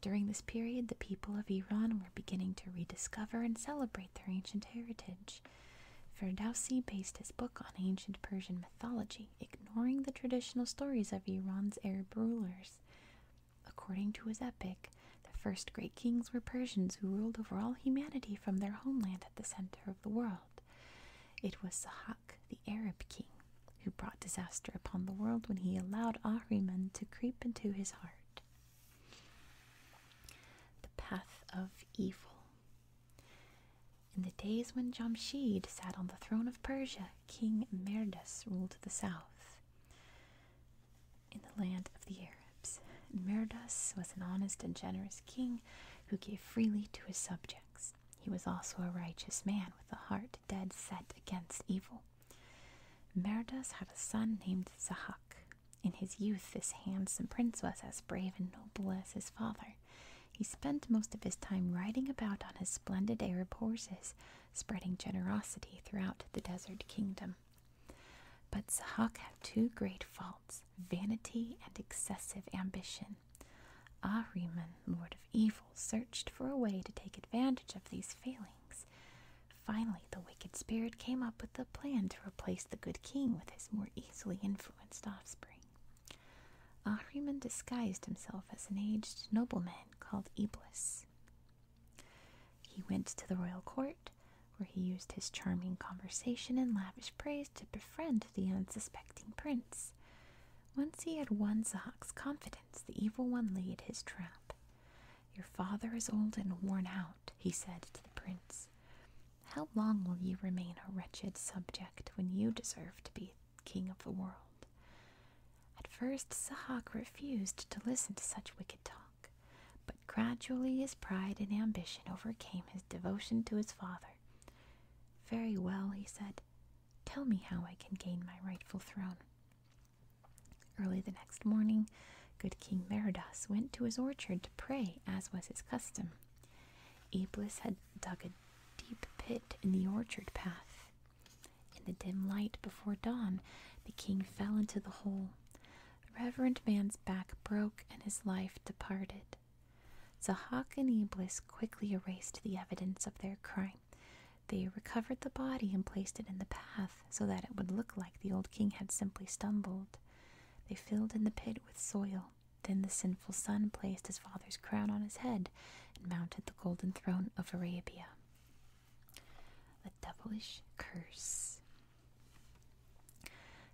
During this period, the people of Iran were beginning to rediscover and celebrate their ancient heritage. Ferdowsi based his book on ancient Persian mythology, ignoring the traditional stories of Iran's Arab rulers. According to his epic, the first great kings were Persians who ruled over all humanity from their homeland at the center of the world. It was Sahak, the Arab king, who brought disaster upon the world when he allowed Ahriman to creep into his heart. The path of evil. In the days when Jamshid sat on the throne of Persia, King Merdas ruled the south in the land of the Arabs. Myrdas was an honest and generous king who gave freely to his subjects. He was also a righteous man with a heart dead set against evil. Myrdas had a son named Zahak. In his youth, this handsome prince was as brave and noble as his father. He spent most of his time riding about on his splendid Arab horses, spreading generosity throughout the desert kingdom. But Zahak had two great faults vanity and excessive ambition. Ahriman, lord of evil, searched for a way to take advantage of these failings. Finally, the wicked spirit came up with a plan to replace the good king with his more easily influenced offspring. Ahriman disguised himself as an aged nobleman called Iblis. He went to the royal court, where he used his charming conversation and lavish praise to befriend the unsuspecting prince. Once he had won Zahak's confidence, the evil one laid his trap. Your father is old and worn out, he said to the prince. How long will you remain a wretched subject when you deserve to be king of the world? At first, Sahak refused to listen to such wicked talk but gradually his pride and ambition overcame his devotion to his father. Very well, he said. Tell me how I can gain my rightful throne. Early the next morning, good King Meridas went to his orchard to pray, as was his custom. Iblis had dug a deep pit in the orchard path. In the dim light before dawn, the king fell into the hole. The reverend man's back broke and his life departed. Zahak and Iblis quickly erased the evidence of their crime. They recovered the body and placed it in the path so that it would look like the old king had simply stumbled. They filled in the pit with soil. Then the sinful son placed his father's crown on his head and mounted the golden throne of Arabia. The devilish curse.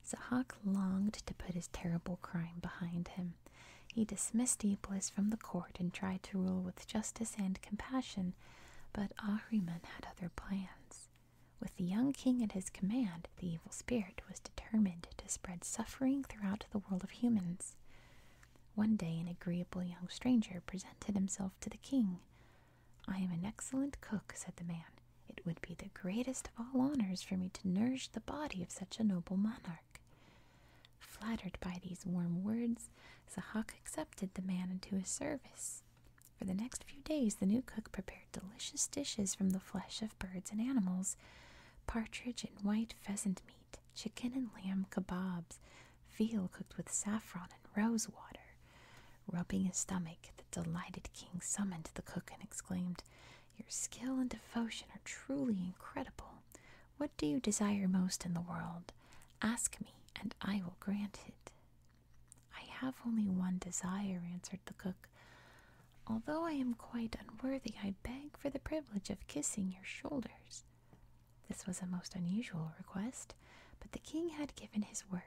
Zahak longed to put his terrible crime behind him. He dismissed Iblis from the court and tried to rule with justice and compassion, but Ahriman had other plans. With the young king at his command, the evil spirit was determined to spread suffering throughout the world of humans. One day, an agreeable young stranger presented himself to the king. I am an excellent cook, said the man. It would be the greatest of all honors for me to nourish the body of such a noble monarch. Flattered by these warm words, Zahak accepted the man into his service. For the next few days, the new cook prepared delicious dishes from the flesh of birds and animals partridge and white pheasant meat, chicken and lamb kebabs, veal cooked with saffron and rose water, Rubbing his stomach, the delighted king summoned the cook and exclaimed, Your skill and devotion are truly incredible. What do you desire most in the world? Ask me, and I will grant it. I have only one desire, answered the cook. Although I am quite unworthy, I beg for the privilege of kissing your shoulders. This was a most unusual request, but the king had given his word.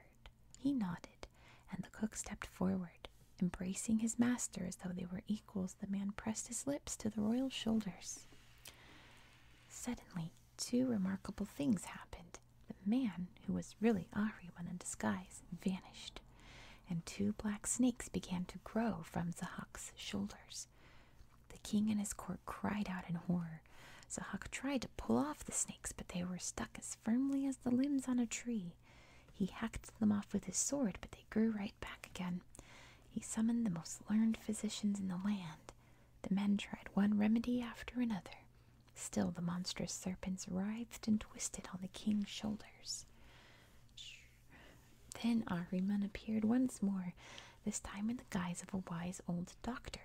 He nodded, and the cook stepped forward. Embracing his master as though they were equals, the man pressed his lips to the royal shoulders. Suddenly, two remarkable things happened. The man, who was really Ahriman in disguise, vanished, and two black snakes began to grow from Zahak's shoulders. The king and his court cried out in horror. Zahak tried to pull off the snakes, but they were stuck as firmly as the limbs on a tree. He hacked them off with his sword, but they grew right back again. He summoned the most learned physicians in the land. The men tried one remedy after another. Still, the monstrous serpents writhed and twisted on the king's shoulders. Then Ahriman appeared once more, this time in the guise of a wise old doctor.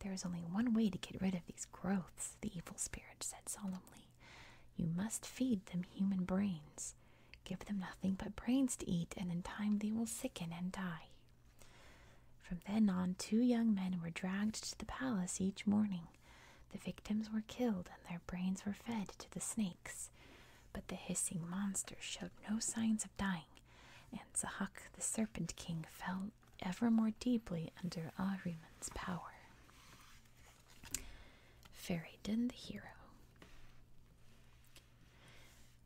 There is only one way to get rid of these growths, the evil spirit said solemnly. You must feed them human brains. Give them nothing but brains to eat, and in time they will sicken and die. From then on, two young men were dragged to the palace each morning. The victims were killed, and their brains were fed to the snakes. But the hissing monster showed no signs of dying, and Zahak, the serpent king, fell ever more deeply under Ahriman's power. Feridun the hero.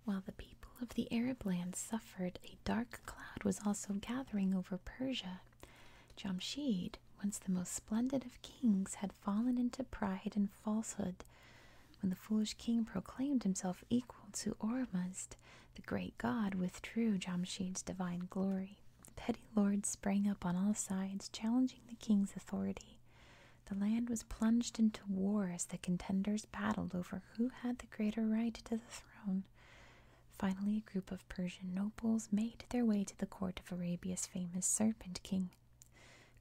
While the people of the Arab lands suffered, a dark cloud was also gathering over Persia. Jamshid, once the most splendid of kings, had fallen into pride and falsehood. When the foolish king proclaimed himself equal to Ormuzd, the great god withdrew Jamshid's divine glory. Petty lords sprang up on all sides, challenging the king's authority. The land was plunged into war as the contenders battled over who had the greater right to the throne. Finally, a group of Persian nobles made their way to the court of Arabia's famous Serpent King.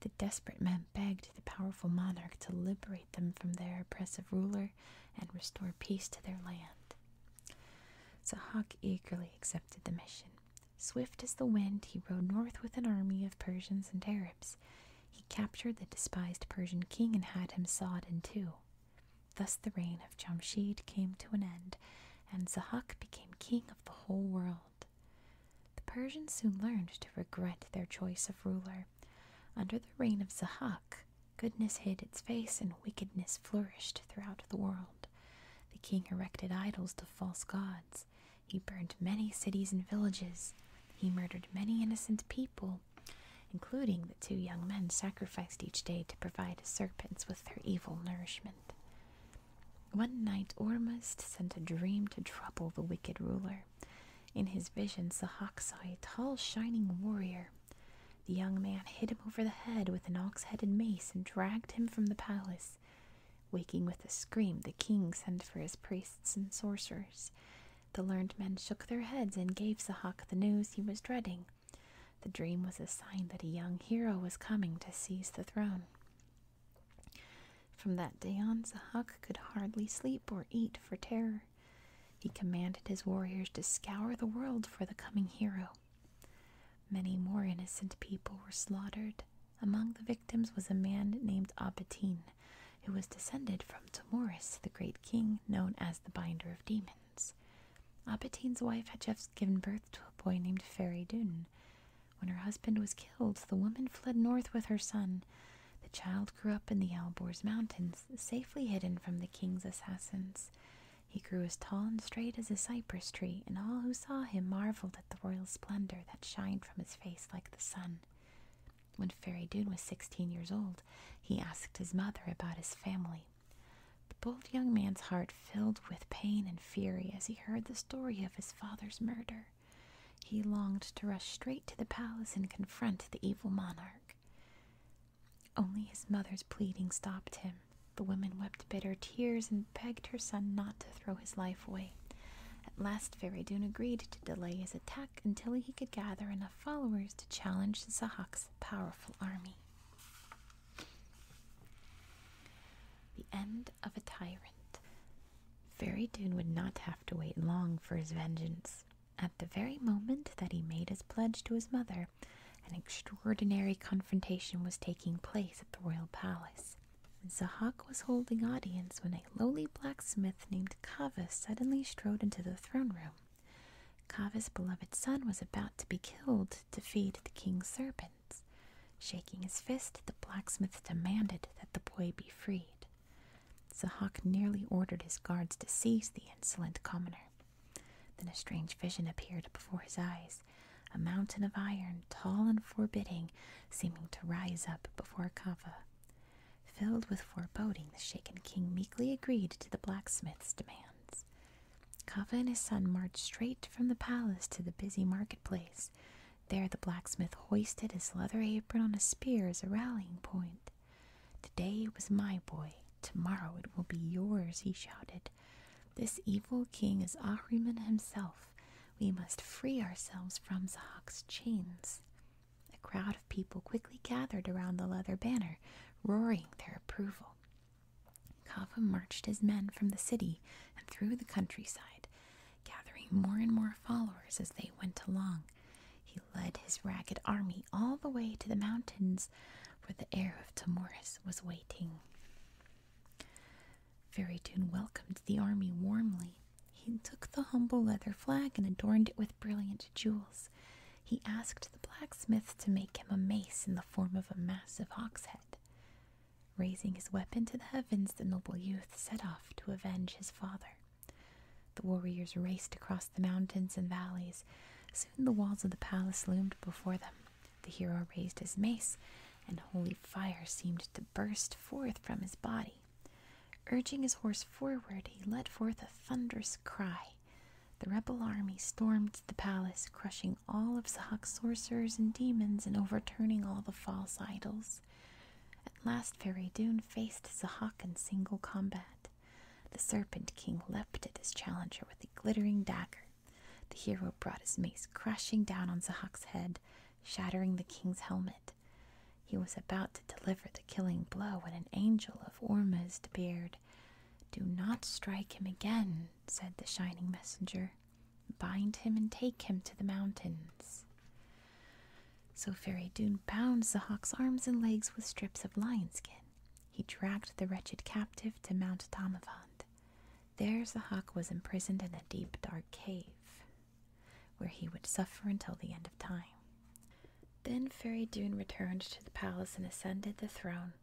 The desperate men begged the powerful monarch to liberate them from their oppressive ruler and restore peace to their land. Sahak eagerly accepted the mission. Swift as the wind, he rode north with an army of Persians and Arabs. He captured the despised Persian king and had him sawed in two. Thus the reign of Jamshid came to an end, and Zahak became king of the whole world. The Persians soon learned to regret their choice of ruler. Under the reign of Zahak, goodness hid its face and wickedness flourished throughout the world. The king erected idols to false gods. He burned many cities and villages. He murdered many innocent people, including the two young men sacrificed each day to provide serpents with their evil nourishment. One night Ormuzd sent a dream to trouble the wicked ruler. In his vision, Sahak saw a tall, shining warrior. The young man hit him over the head with an ox headed mace and dragged him from the palace. Waking with a scream, the king sent for his priests and sorcerers. The learned men shook their heads and gave Sahak the news he was dreading. The dream was a sign that a young hero was coming to seize the throne. From that day on, Sahak could hardly sleep or eat for terror. He commanded his warriors to scour the world for the coming hero. Many more innocent people were slaughtered. Among the victims was a man named Abatin, who was descended from Tamoris, the great king known as the Binder of Demons. Abatin's wife had just given birth to a boy named Feridun. When her husband was killed, the woman fled north with her son. The child grew up in the Alborz Mountains, safely hidden from the king's assassins. He grew as tall and straight as a cypress tree, and all who saw him marveled at the royal splendor that shined from his face like the sun. When Fairy Dune was sixteen years old, he asked his mother about his family. The bold young man's heart filled with pain and fury as he heard the story of his father's murder. He longed to rush straight to the palace and confront the evil monarch. Only his mother's pleading stopped him. The woman wept bitter tears and begged her son not to throw his life away. At last, Feridoun agreed to delay his attack until he could gather enough followers to challenge Zahak's powerful army. The end of a tyrant. Feridoun would not have to wait long for his vengeance. At the very moment that he made his pledge to his mother, an extraordinary confrontation was taking place at the royal palace. Zahak was holding audience when a lowly blacksmith named Kavas suddenly strode into the throne room. Kava's beloved son was about to be killed to feed the king's serpents. Shaking his fist, the blacksmith demanded that the boy be freed. Zahak nearly ordered his guards to seize the insolent commoner. Then a strange vision appeared before his eyes a mountain of iron, tall and forbidding, seeming to rise up before Kava. Filled with foreboding, the shaken king meekly agreed to the blacksmith's demands. Kava and his son marched straight from the palace to the busy marketplace. There, the blacksmith hoisted his leather apron on a spear as a rallying point. Today it was my boy, tomorrow it will be yours, he shouted. This evil king is Ahriman himself. We must free ourselves from Zahak's chains. A crowd of people quickly gathered around the leather banner, roaring their approval. Kava marched his men from the city and through the countryside, gathering more and more followers as they went along. He led his ragged army all the way to the mountains where the heir of Tamoris was waiting. Fairytune welcomed the army warmly. He took the humble leather flag and adorned it with brilliant jewels. He asked the blacksmith to make him a mace in the form of a massive hawk's head. Raising his weapon to the heavens, the noble youth set off to avenge his father. The warriors raced across the mountains and valleys. Soon the walls of the palace loomed before them. The hero raised his mace, and holy fire seemed to burst forth from his body. Urging his horse forward, he let forth a thunderous cry. The rebel army stormed the palace, crushing all of Sahak's sorcerers and demons and overturning all the false idols. At last, Feridoun faced Sahak in single combat. The Serpent King leapt at his challenger with a glittering dagger. The hero brought his mace crashing down on Zahak's head, shattering the king's helmet. He was about to deliver the killing blow when an angel of Ormuzd appeared. Do not strike him again, said the shining messenger. Bind him and take him to the mountains. So Feridoun bound Zahak's arms and legs with strips of lion skin. He dragged the wretched captive to Mount Tamavand. There Zehak was imprisoned in a deep, dark cave, where he would suffer until the end of time. Then Feridun returned to the palace and ascended the throne.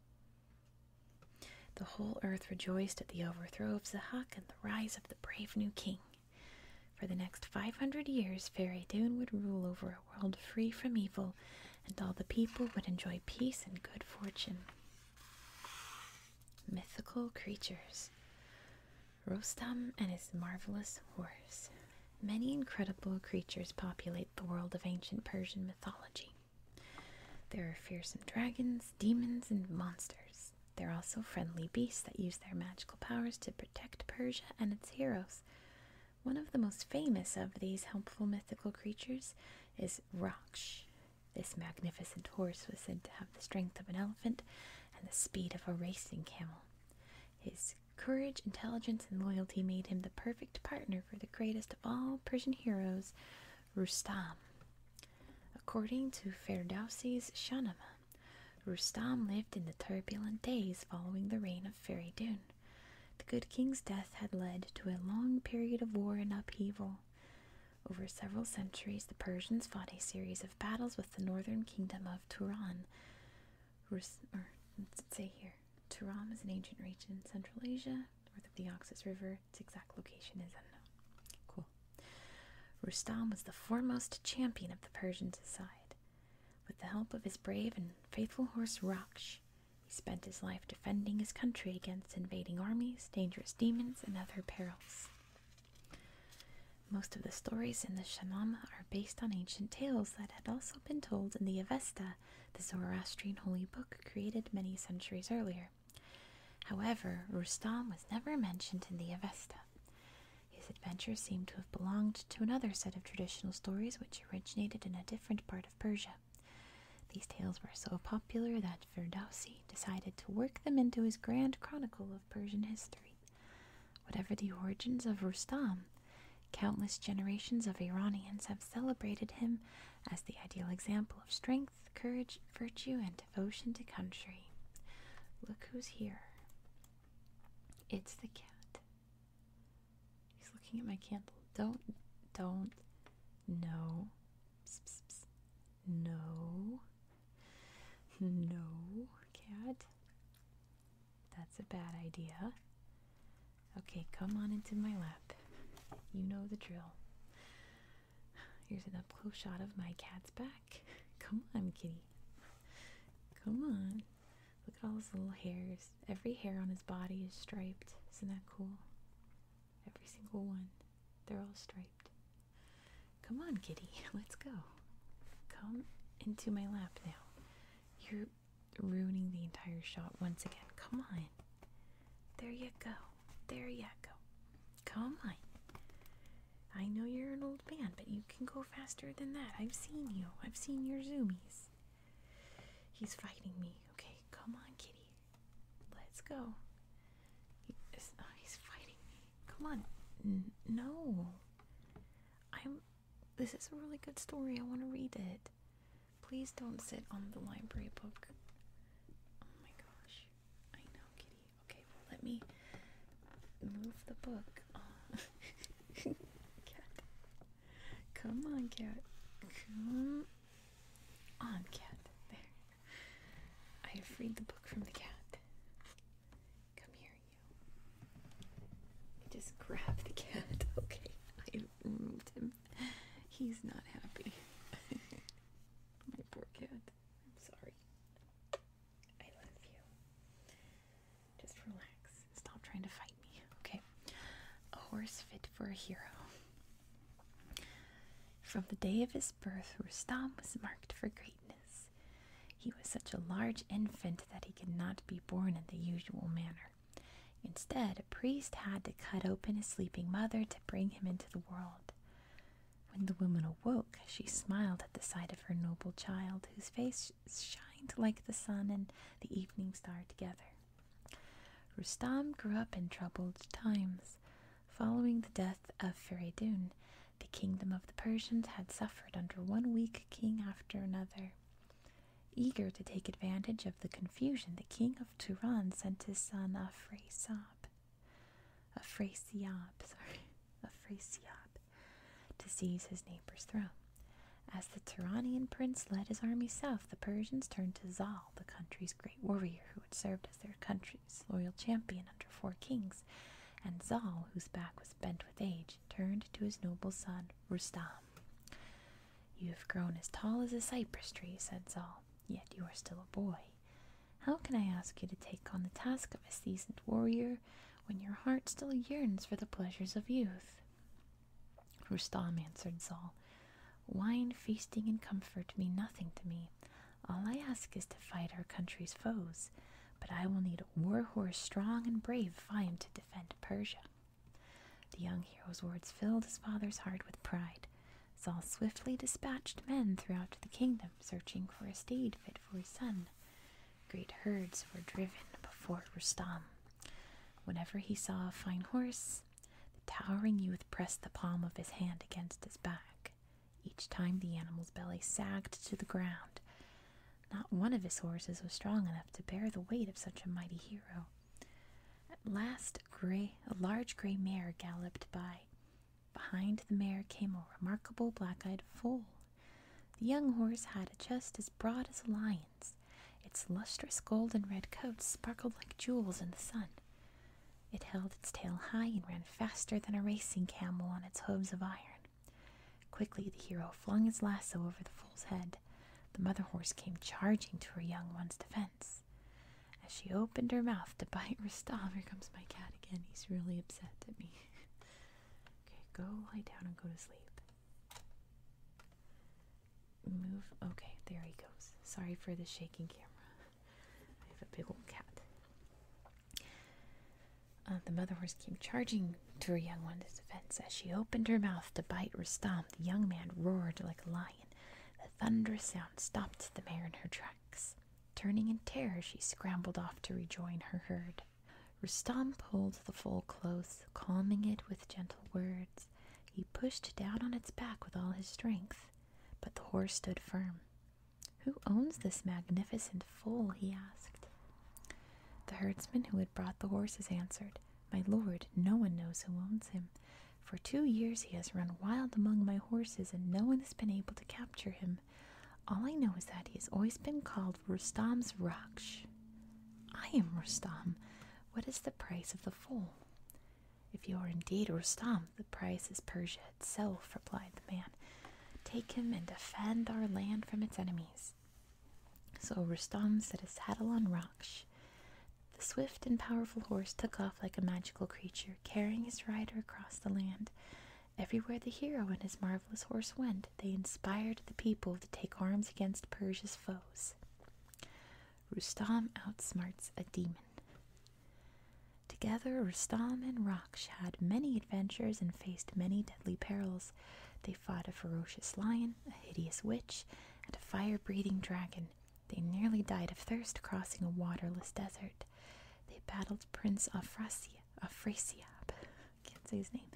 The whole earth rejoiced at the overthrow of Zehak and the rise of the brave new king. For the next five hundred years, Feridun would rule over a world free from evil, and all the people would enjoy peace and good fortune. Mythical creatures. Rostam and his marvelous horse. Many incredible creatures populate the world of ancient Persian mythology. There are fearsome dragons, demons, and monsters. There are also friendly beasts that use their magical powers to protect Persia and its heroes. One of the most famous of these helpful mythical creatures is Raksh, this magnificent horse was said to have the strength of an elephant and the speed of a racing camel. His courage, intelligence, and loyalty made him the perfect partner for the greatest of all Persian heroes, Rustam. According to Ferdowsi's Shahnameh, Rustam lived in the turbulent days following the reign of Feridun. The good king's death had led to a long period of war and upheaval. Over several centuries, the Persians fought a series of battles with the northern kingdom of Turan. Rus let's say here, Turan is an ancient region in Central Asia, north of the Oxus River. Its exact location is unknown. Cool. Rustam was the foremost champion of the Persians' side. With the help of his brave and faithful horse Raksh, he spent his life defending his country against invading armies, dangerous demons, and other perils. Most of the stories in the Shahnameh are based on ancient tales that had also been told in the Avesta, the Zoroastrian holy book created many centuries earlier. However, Rustam was never mentioned in the Avesta. His adventures seem to have belonged to another set of traditional stories which originated in a different part of Persia. These tales were so popular that Ferdowsi decided to work them into his grand chronicle of Persian history. Whatever the origins of Rustam, countless generations of Iranians have celebrated him as the ideal example of strength, courage, virtue, and devotion to country. Look who's here. It's the cat. He's looking at my candle. Don't, don't, no, no. No, cat. That's a bad idea. Okay, come on into my lap. You know the drill. Here's an up close shot of my cat's back. Come on, kitty. Come on. Look at all his little hairs. Every hair on his body is striped. Isn't that cool? Every single one. They're all striped. Come on, kitty, let's go. Come into my lap now. You're ruining the entire shot once again. Come on. There you go. There you go. Come on. I know you're an old man, but you can go faster than that. I've seen you. I've seen your zoomies. He's fighting me. Okay, come on, kitty. Let's go. Oh, he's fighting me. Come on. no. I'm. This is a really good story. I want to read it. Please don't sit on the library book. Oh my gosh. I know, kitty. Okay, let me move the book. cat. Come on, cat. Come on, cat. There. I have freed the book from the cat. Come here, you. Just grab the cat. Okay, I moved him. He's not happy. My poor cat. I'm sorry. I love you. Just relax. Stop trying to fight me, okay? A horse fit for a hero. From the day of his birth, Rustam was marked for greatness. He was such a large infant that he could not be born in the usual manner. Instead, a priest had to cut open his sleeping mother to bring him into the world. When the woman awoke, she smiled at the sight of her noble child, whose face shined like the sun and the evening star together. Rustam grew up in troubled times. Following the death of Feridun, the kingdom of the Persians had suffered under one weak king after another. Eager to take advantage of the confusion, the king of Turan sent his son Afrasiab, Afrasiab, sorry, Afrasiab, to seize his neighbor's throne. As the Turanian prince led his army south, the Persians turned to Zal, the country's great warrior who had served as their country's loyal champion under four kings, and Zal, whose back was bent with age, turned to his noble son Rustam. You have grown as tall as a cypress tree, said Zal, yet you are still a boy. How can I ask you to take on the task of a seasoned warrior when your heart still yearns for the pleasures of youth? Rustam answered Zal, Wine, feasting, and comfort mean nothing to me. All I ask is to fight our country's foes, but I will need a war horse strong and brave if I am to defend Persia. The young hero's words filled his father's heart with pride. Saul swiftly dispatched men throughout the kingdom, searching for a steed fit for his son. Great herds were driven before Rustam. Whenever he saw a fine horse, the towering youth pressed the palm of his hand against his back. Each time the animal's belly sagged to the ground. Not one of his horses was strong enough to bear the weight of such a mighty hero. At last, a large gray mare galloped by. Behind the mare came a remarkable black-eyed foal. The young horse had a chest as broad as a lion's. Its lustrous gold and red coat sparkled like jewels in the sun. It held its tail high and ran faster than a racing camel on its hooves of iron. Quickly the hero flung his lasso over the fool's head. The mother horse came charging to her young one's defense. As she opened her mouth to bite Rostov, here comes my cat again. He's really upset at me. okay, go lie down and go to sleep. Move. Okay, there he goes. Sorry for the shaking camera. I have a big old cat. Uh, the mother horse came charging to her young one's defense. As she opened her mouth to bite or stomp, the young man roared like a lion. The thunderous sound stopped the mare in her tracks. Turning in terror, she scrambled off to rejoin her herd. Rustam pulled the foal close, calming it with gentle words. He pushed down on its back with all his strength, but the horse stood firm. Who owns this magnificent foal? he asked. The herdsman who had brought the horses answered, My lord, no one knows who owns him. For two years he has run wild among my horses, and no one has been able to capture him. All I know is that he has always been called Rustam's Raksh. I am Rustam. What is the price of the foal? If you are indeed Rustam, the price is Persia itself, replied the man. Take him and defend our land from its enemies. So Rustam set his saddle on Raksh. The swift and powerful horse took off like a magical creature, carrying his rider across the land. Everywhere the hero and his marvelous horse went, they inspired the people to take arms against Persia's foes. Rustam outsmarts a demon. Together, Rustam and Raksh had many adventures and faced many deadly perils. They fought a ferocious lion, a hideous witch, and a fire breathing dragon. They nearly died of thirst crossing a waterless desert. They battled Prince Afrasiab, can't say his name,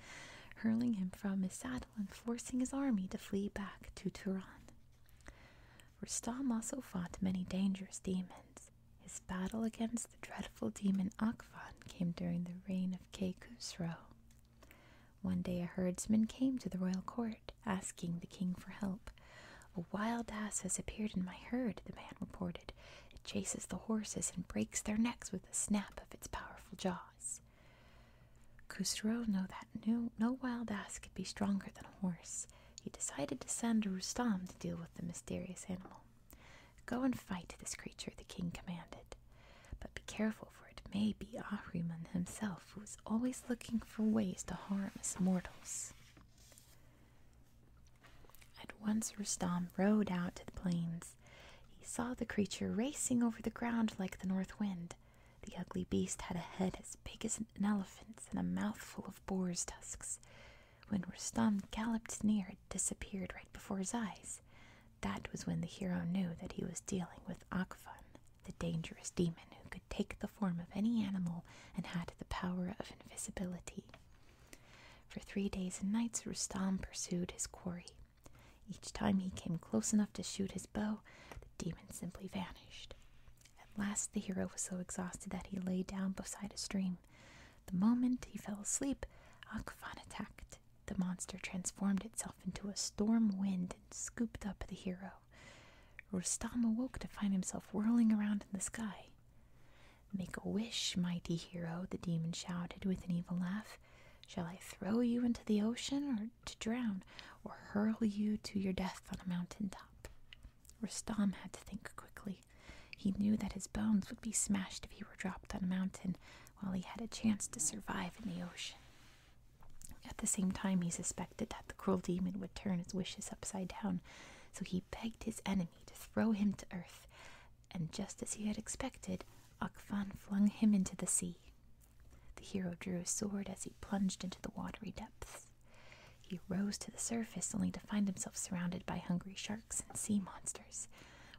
hurling him from his saddle and forcing his army to flee back to Turan. Rustam also fought many dangerous demons. His battle against the dreadful demon Akvan came during the reign of Kay Khusro. One day a herdsman came to the royal court, asking the king for help. A wild ass has appeared in my herd, the man reported. It chases the horses and breaks their necks with a snap of its powerful jaws. Khusro knew that no, no wild ass could be stronger than a horse he decided to send Rustam to deal with the mysterious animal. Go and fight this creature, the king commanded. But be careful, for it may be Ahriman himself who is always looking for ways to harm us mortals. At once Rustam rode out to the plains. He saw the creature racing over the ground like the north wind. The ugly beast had a head as big as an elephant's and a mouthful of boar's tusks. When Rustam galloped near, it disappeared right before his eyes. That was when the hero knew that he was dealing with Akvan, the dangerous demon who could take the form of any animal and had the power of invisibility. For three days and nights, Rustam pursued his quarry. Each time he came close enough to shoot his bow, the demon simply vanished. At last the hero was so exhausted that he lay down beside a stream. The moment he fell asleep, Akfan attacked. The monster transformed itself into a storm wind and scooped up the hero. Rustam awoke to find himself whirling around in the sky. Make a wish, mighty hero, the demon shouted with an evil laugh. Shall I throw you into the ocean to drown, or hurl you to your death on a mountain top? Rustam had to think quickly. He knew that his bones would be smashed if he were dropped on a mountain, while he had a chance to survive in the ocean. At the same time, he suspected that the cruel demon would turn his wishes upside down, so he begged his enemy to throw him to earth. And just as he had expected, Akfan flung him into the sea. The hero drew his sword as he plunged into the watery depths. He rose to the surface only to find himself surrounded by hungry sharks and sea monsters.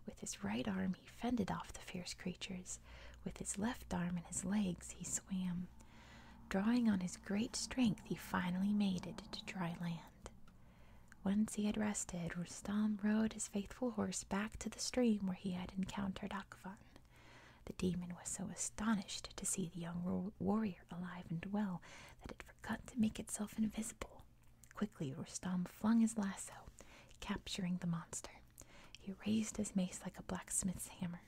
With his right arm, he fended off the fierce creatures. With his left arm and his legs, he swam. Drawing on his great strength, he finally made it to dry land. Once he had rested, Rustam rode his faithful horse back to the stream where he had encountered Akvan. The demon was so astonished to see the young warrior alive and well that it Got to make itself invisible. Quickly, Rustam flung his lasso, capturing the monster. He raised his mace like a blacksmith's hammer.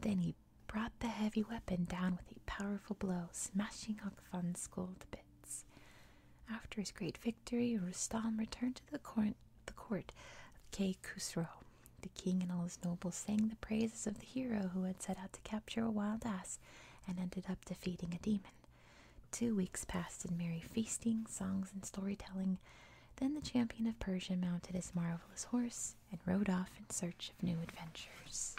Then he brought the heavy weapon down with a powerful blow, smashing Hakfan's gold bits. After his great victory, Rustam returned to the court, the court of Kay Khusro. The king and all his nobles sang the praises of the hero who had set out to capture a wild ass and ended up defeating a demon. Two weeks passed in merry feasting, songs, and storytelling. Then the champion of Persia mounted his marvelous horse and rode off in search of new adventures.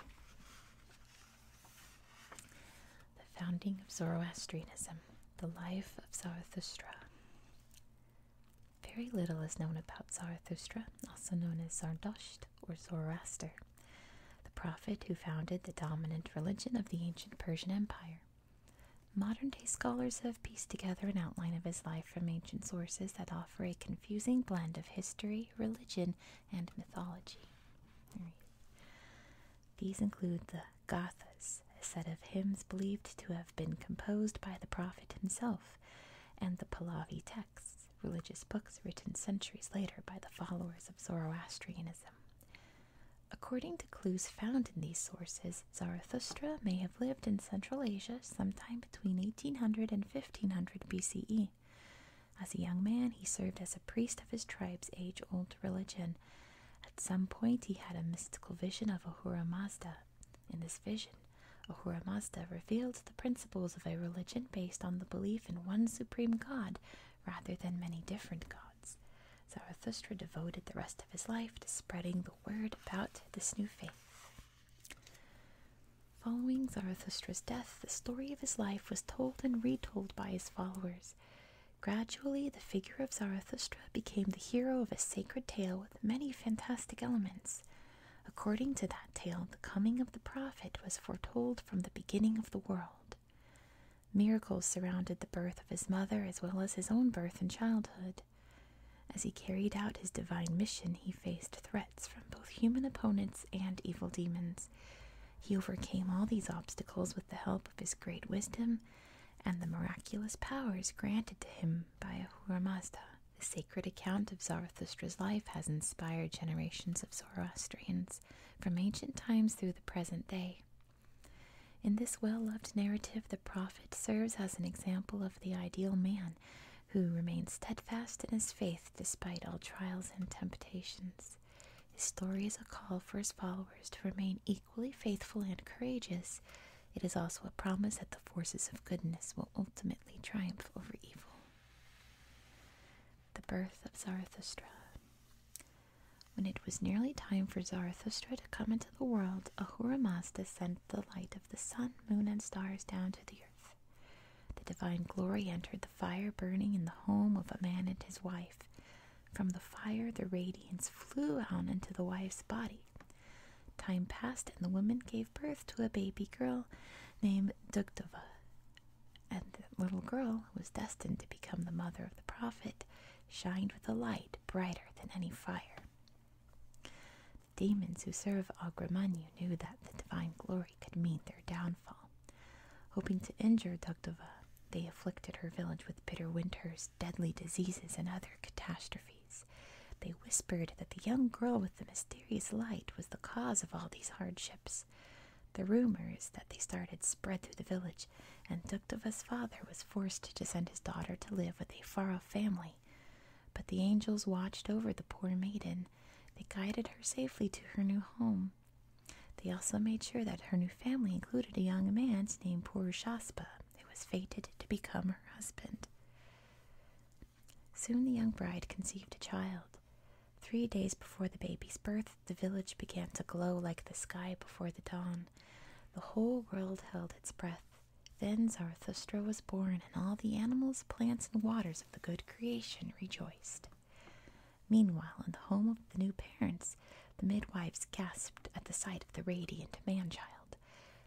The founding of Zoroastrianism, the life of Zarathustra. Very little is known about Zarathustra, also known as Zardosht or Zoroaster the prophet who founded the dominant religion of the ancient Persian Empire. Modern day scholars have pieced together an outline of his life from ancient sources that offer a confusing blend of history, religion, and mythology. These include the Gathas, a set of hymns believed to have been composed by the prophet himself, and the Pahlavi texts religious books written centuries later by the followers of Zoroastrianism. According to clues found in these sources, Zarathustra may have lived in Central Asia sometime between 1800 and 1500 BCE. As a young man, he served as a priest of his tribe's age old religion. At some point, he had a mystical vision of Ahura Mazda. In this vision, Ahura Mazda revealed the principles of a religion based on the belief in one supreme God rather than many different gods. Zarathustra devoted the rest of his life to spreading the word about this new faith. Following Zarathustra's death, the story of his life was told and retold by his followers. Gradually, the figure of Zarathustra became the hero of a sacred tale with many fantastic elements. According to that tale, the coming of the prophet was foretold from the beginning of the world. Miracles surrounded the birth of his mother as well as his own birth and childhood. As he carried out his divine mission, he faced threats from both human opponents and evil demons. He overcame all these obstacles with the help of his great wisdom and the miraculous powers granted to him by Ahura Mazda. The sacred account of Zarathustra's life has inspired generations of Zoroastrians from ancient times through the present day. In this well loved narrative, the prophet serves as an example of the ideal man who remains steadfast in his faith despite all trials and temptations. His story is a call for his followers to remain equally faithful and courageous. It is also a promise that the forces of goodness will ultimately triumph over evil. The Birth of Zarathustra. When it was nearly time for Zarathustra to come into the world, Ahura Mazda sent the light of the sun, moon, and stars down to the earth. The divine glory entered the fire burning in the home of a man and his wife. From the fire, the radiance flew out into the wife's body. Time passed, and the woman gave birth to a baby girl named Dugdava and the little girl who was destined to become the mother of the prophet shined with a light brighter than any fire. The demons who serve Agramanyu knew that the divine glory could mean their downfall. Hoping to injure Dugdova, they afflicted her village with bitter winters, deadly diseases, and other catastrophes. They whispered that the young girl with the mysterious light was the cause of all these hardships. The rumors that they started spread through the village, and Duktova's father was forced to send his daughter to live with a far off family. But the angels watched over the poor maiden. They guided her safely to her new home. They also made sure that her new family included a young man named Purushaspa, who was fated to become her husband. Soon the young bride conceived a child. Three days before the baby's birth, the village began to glow like the sky before the dawn. The whole world held its breath. Then Zarathustra was born, and all the animals, plants, and waters of the good creation rejoiced. Meanwhile, in the home of the new parents, the midwives gasped at the sight of the radiant man child.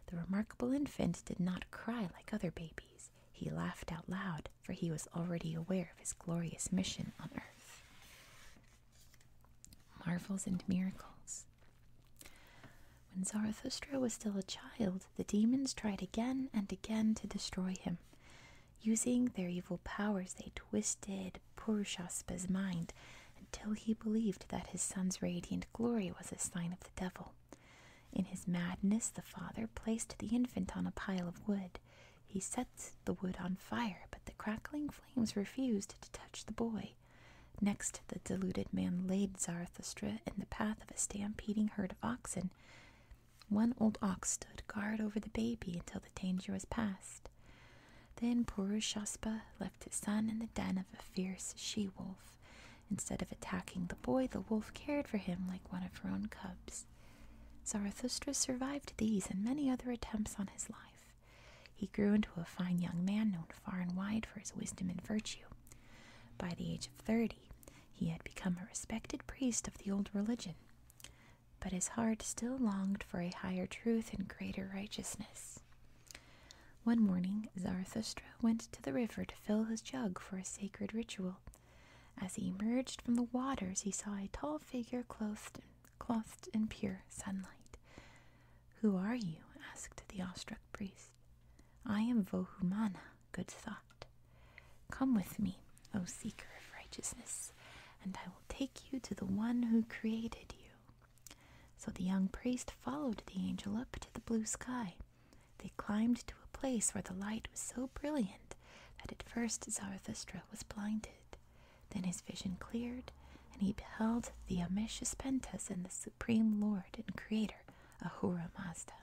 The remarkable infant did not cry like other babies. He laughed out loud, for he was already aware of his glorious mission on earth. Marvels and Miracles When Zarathustra was still a child, the demons tried again and again to destroy him. Using their evil powers, they twisted Purushaspas's mind until he believed that his son's radiant glory was a sign of the devil. In his madness, the father placed the infant on a pile of wood. He set the wood on fire, but the crackling flames refused to touch the boy. Next, the deluded man laid Zarathustra in the path of a stampeding herd of oxen. One old ox stood guard over the baby until the danger was past. Then Purushaspa left his son in the den of a fierce she wolf. Instead of attacking the boy, the wolf cared for him like one of her own cubs. Zarathustra survived these and many other attempts on his life. He grew into a fine young man known far and wide for his wisdom and virtue. By the age of thirty, he had become a respected priest of the old religion. But his heart still longed for a higher truth and greater righteousness. One morning, Zarathustra went to the river to fill his jug for a sacred ritual. As he emerged from the waters, he saw a tall figure clothed, in pure sunlight. Who are you? asked the awestruck priest. I am Vohumana, good thought. Come with me, O seeker of righteousness, and I will take you to the one who created you. So the young priest followed the angel up to the blue sky. They climbed to a place where the light was so brilliant that at first Zarathustra was blinded, then his vision cleared, and he beheld the Amishus Pentas and the Supreme Lord and Creator Ahura Mazda.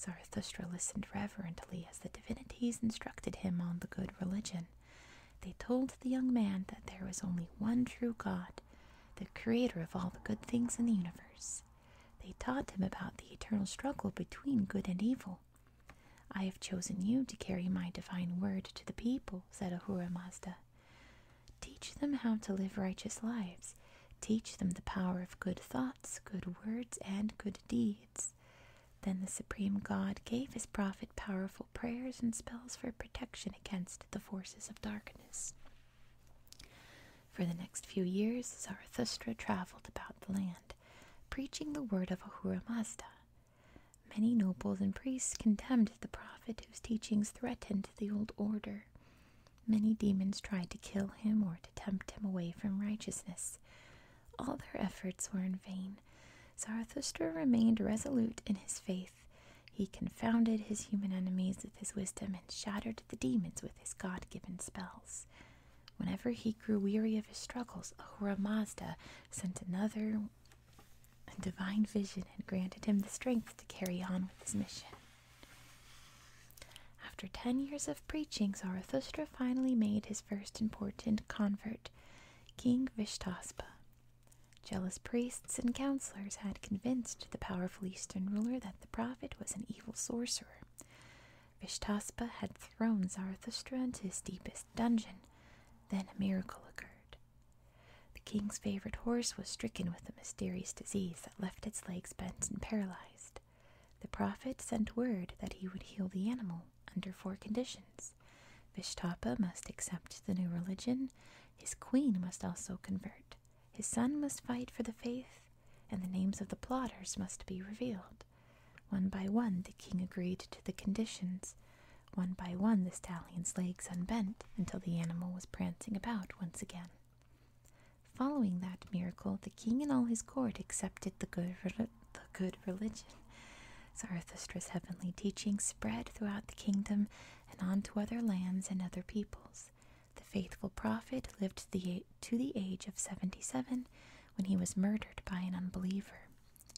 Zarathustra listened reverently as the divinities instructed him on the good religion. They told the young man that there was only one true God, the creator of all the good things in the universe. They taught him about the eternal struggle between good and evil, I have chosen you to carry my divine word to the people, said Ahura Mazda. Teach them how to live righteous lives. Teach them the power of good thoughts, good words, and good deeds. Then the Supreme God gave his prophet powerful prayers and spells for protection against the forces of darkness. For the next few years, Zarathustra traveled about the land preaching the word of Ahura Mazda. Many nobles and priests contemned the prophet whose teachings threatened the old order. Many demons tried to kill him or to tempt him away from righteousness. All their efforts were in vain. Zarathustra remained resolute in his faith. He confounded his human enemies with his wisdom and shattered the demons with his God given spells. Whenever he grew weary of his struggles, Ahura Mazda sent another divine vision and granted him the strength to carry on with his mission. After ten years of preaching, Zarathustra finally made his first important convert, King Vishtaspa. Jealous priests and counselors had convinced the powerful Eastern ruler that the prophet was an evil sorcerer. Vishtaspa had thrown Zarathustra into his deepest dungeon. Then a miracle occurred. The king's favorite horse was stricken with a mysterious disease that left its legs bent and paralyzed. The prophet sent word that he would heal the animal under four conditions. Vishtapa must accept the new religion, his queen must also convert, his son must fight for the faith, and the names of the plotters must be revealed. One by one the king agreed to the conditions. One by one the stallion's legs unbent until the animal was prancing about once again. Following that miracle, the king and all his court accepted the good, the good religion. Zarathustra's heavenly teaching spread throughout the kingdom and on to other lands and other peoples. The faithful prophet lived to the, to the age of 77 when he was murdered by an unbeliever.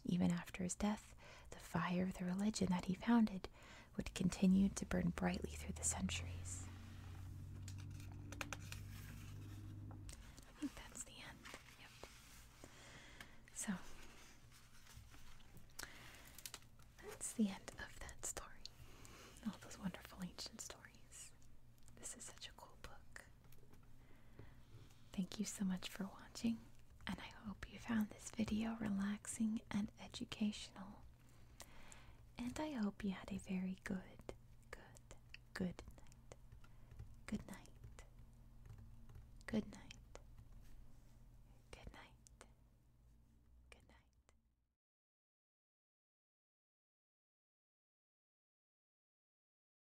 Even after his death, the fire of the religion that he founded would continue to burn brightly through the centuries. I think that's the end. Yep. So, that's the end of that story. All those wonderful ancient stories. This is such a cool book. Thank you so much for watching, and I hope you found this video relaxing and educational. And I hope you had a very good, good, good night. Good night. Good night. Good night. Good night.